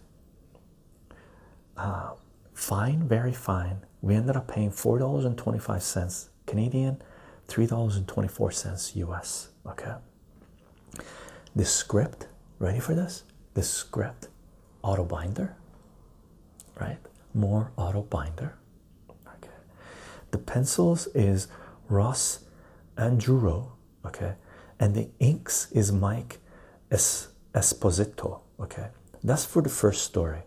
uh, fine, very fine. We ended up paying four dollars and twenty-five cents Canadian, three dollars and twenty-four cents US. Okay. The script, ready for this? The script, auto binder, right? More auto binder. Okay. The pencils is Ross Anduro. Okay. And the inks is Mike Esposito. Okay, that's for the first story.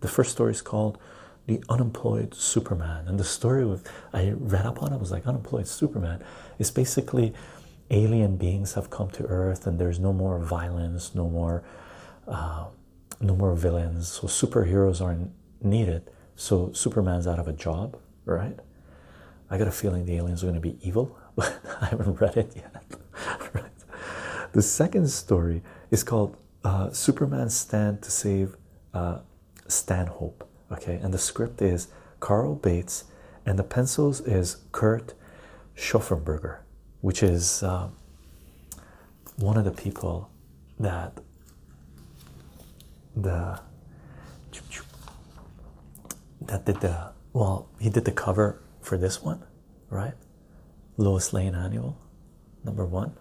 The first story is called The Unemployed Superman, and the story with, I read up on it was like Unemployed Superman. It's basically alien beings have come to Earth, and there's no more violence, no more, uh, no more villains. So superheroes aren't needed. So Superman's out of a job, right? I got a feeling the aliens are going to be evil, <laughs> but I haven't read it yet. <laughs> the second story is called uh, Superman's Stand to Save uh, Stanhope. Okay, and the script is Carl Bates, and the pencils is Kurt Schoffenberger, which is um, one of the people that the that did the well he did the cover for this one right Lois Lane Annual, number one.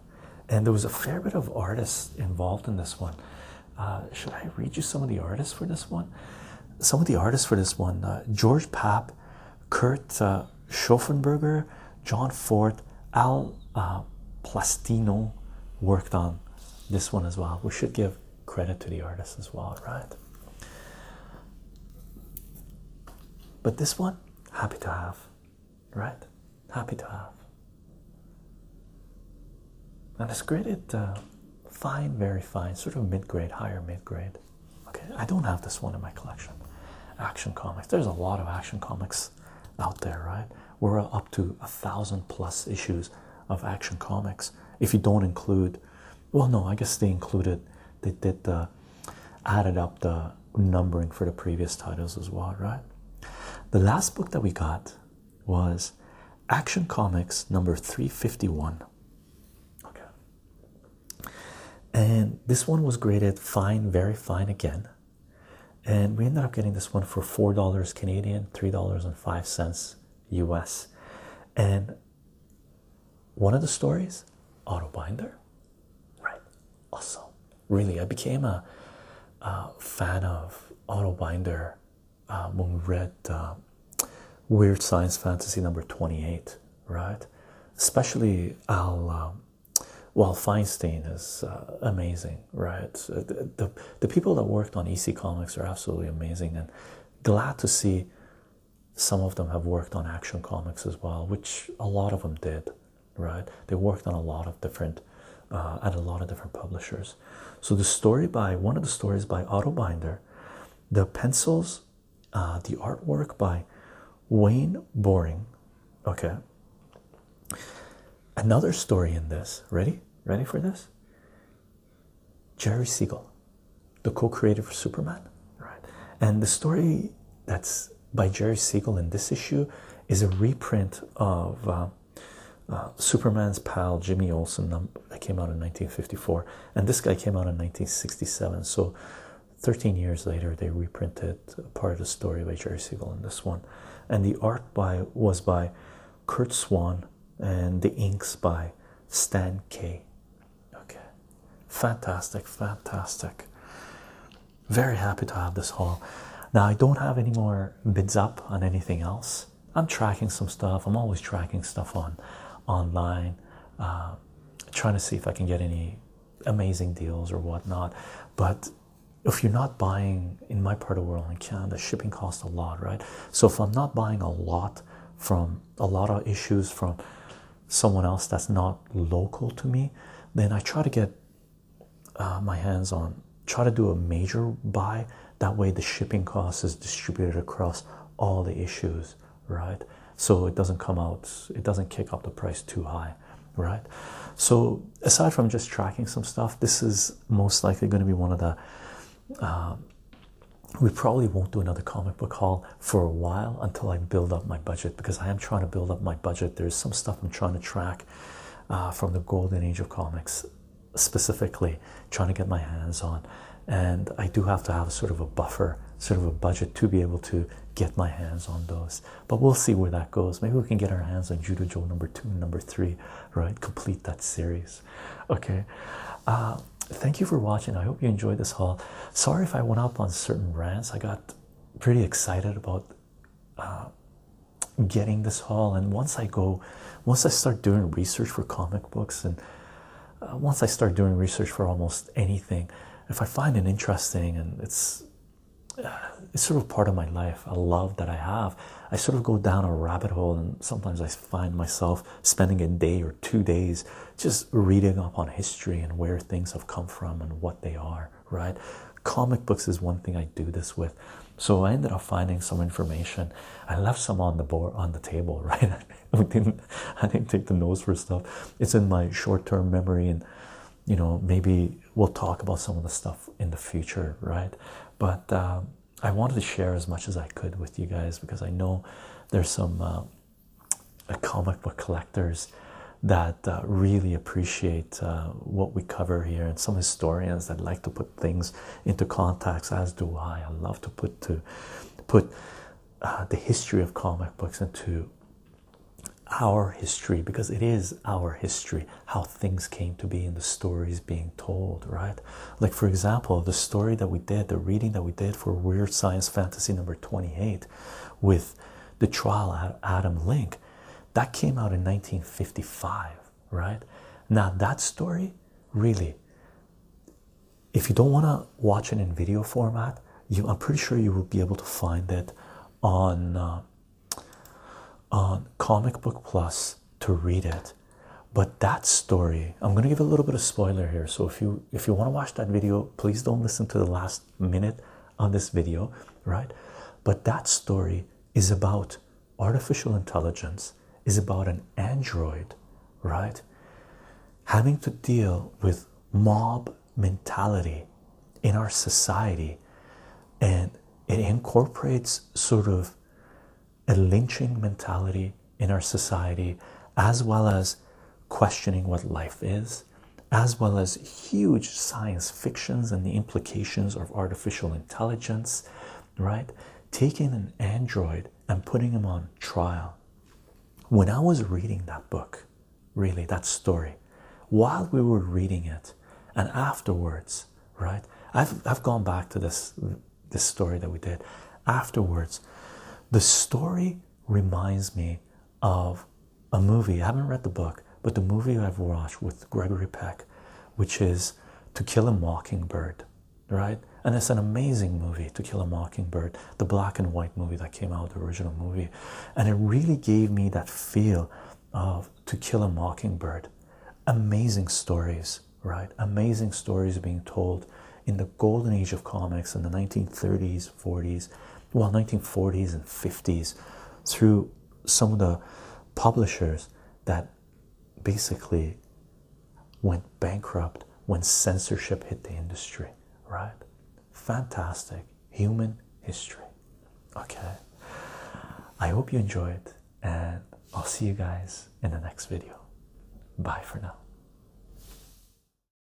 And there was a fair bit of artists involved in this one. Uh, should I read you some of the artists for this one? Some of the artists for this one uh, George Pap, Kurt uh, John Ford, Al uh, Plastino worked on this one as well. We should give credit to the artists as well, right? But this one, happy to have, right? Happy to have. And it's graded fine, very fine, sort of mid grade, higher mid grade. Okay, I don't have this one in my collection. Action comics. There's a lot of action comics out there, right? We're up to a thousand plus issues of action comics if you don't include well no i guess they included they did the added up the numbering for the previous titles as well right the last book that we got was action comics number 351 okay and this one was graded fine very fine again and we ended up getting this one for four dollars canadian three dollars and five cents us and one of the stories, Autobinder, right? Awesome. Really, I became a, fan of Autobinder uh, when we read uh, Weird Science Fantasy number 28, right? Especially Al. Um, Feinstein is amazing, right? the, the people that worked on EC Comics are absolutely amazing, and glad to see some of them have worked on action comics as well, which a lot of them did, right? They worked on a lot of different, uh, at a lot of different publishers. So the story by one of the stories by Otto Binder, the pencils, uh, the artwork by Wayne Boring. Okay. Another story in this. Ready? Ready for this? Jerry Siegel the co-creator of Superman, right? And the story that's by Jerry Siegel in this issue is a reprint of uh, uh, Superman's pal Jimmy Olsen that came out in 1954, and this guy came out in 1967. So, 13 years later, they reprinted part of the story by Jerry Siegel in this one, and the art by was by Kurt Swan and the inks by Stan K. Okay, fantastic, fantastic. Very happy to have this haul. Now, I don't have any more bids up on anything else. I'm tracking some stuff. I'm always tracking stuff on online, uh, trying to see if I can get any amazing deals or whatnot. But if you're not buying in my part of the world in Canada, shipping costs a lot, right? So if I'm not buying a lot from a lot of issues from someone else that's not local to me, then I try to get uh, my hands on, try to do a major buy. That way, the shipping cost is distributed across all the issues, right? So it doesn't come out, it doesn't kick up the price too high, right? So, aside from just tracking some stuff, this is most likely going to be one of the. Uh, we probably won't do another comic book haul for a while until I build up my budget because I am trying to build up my budget. There's some stuff I'm trying to track uh, from the golden age of comics, specifically trying to get my hands on. And I do have to have sort of a buffer, sort of a budget to be able to get my hands on those. But we'll see where that goes. Maybe we can get our hands on Judo Joe number two, number three, right? Complete that series. Okay. Uh, thank you for watching. I hope you enjoyed this haul. Sorry if I went up on certain brands. I got pretty excited about uh, getting this haul, and once I go, once I start doing research for comic books, and uh, once I start doing research for almost anything, if I find it interesting and it's uh, it's sort of part of my life, a love that I have, I sort of go down a rabbit hole, and sometimes I find myself spending a day or two days just reading up on history and where things have come from and what they are, right? Comic books is one thing I do this with. So I ended up finding some information. I left some on the board on the table, <laughs> right? I didn't I didn't take the notes for stuff. It's in my short-term memory and you know maybe we'll talk about some of the stuff in the future, right? But uh, I wanted to share as much as I could with you guys because I know there's some uh, comic book collectors that uh, really appreciate uh, what we cover here, and some historians that like to put things into context, as do I. I love to put to put uh, the history of comic books into our history because it is our history how things came to be and the stories being told right like for example the story that we did the reading that we did for weird science fantasy number 28 with the trial at Adam Link. That came out in 1955, right? Now, that story really, if you don't want to watch it in video format, I'm pretty sure you will be able to find it on, uh, on Comic Book Plus to read it. But that story, I'm gonna give a little bit of spoiler here. So if you if you want to watch that video, please don't listen to the last minute on this video, right? But that story is about artificial intelligence, is about an android, right? Having to deal with mob mentality in our society, and it incorporates sort of a lynching mentality in our society as well as questioning what life is as well as huge science fictions and the implications of artificial intelligence, right? Taking an android and putting him on trial. When I was reading that book, really, that story, while we were reading it and afterwards, right? I've, I've gone back to this, this story that we did. Afterwards, the story reminds me of a movie. I haven't read the book, but the movie I've watched with Gregory Peck, which is To Kill a Mockingbird, right? And it's an amazing movie, To Kill a Mockingbird, the black and white movie that came out, the original movie. And it really gave me that feel of To Kill a Mockingbird. Amazing stories, right? Amazing stories being told in the golden age of comics in the 1930s, 30s, 40s, well, 1940s and 50s, through some of the publishers that basically went bankrupt when censorship hit the industry, right? Fantastic human history. Okay, I hope you enjoyed, and I'll see you guys in the next video. Bye for now.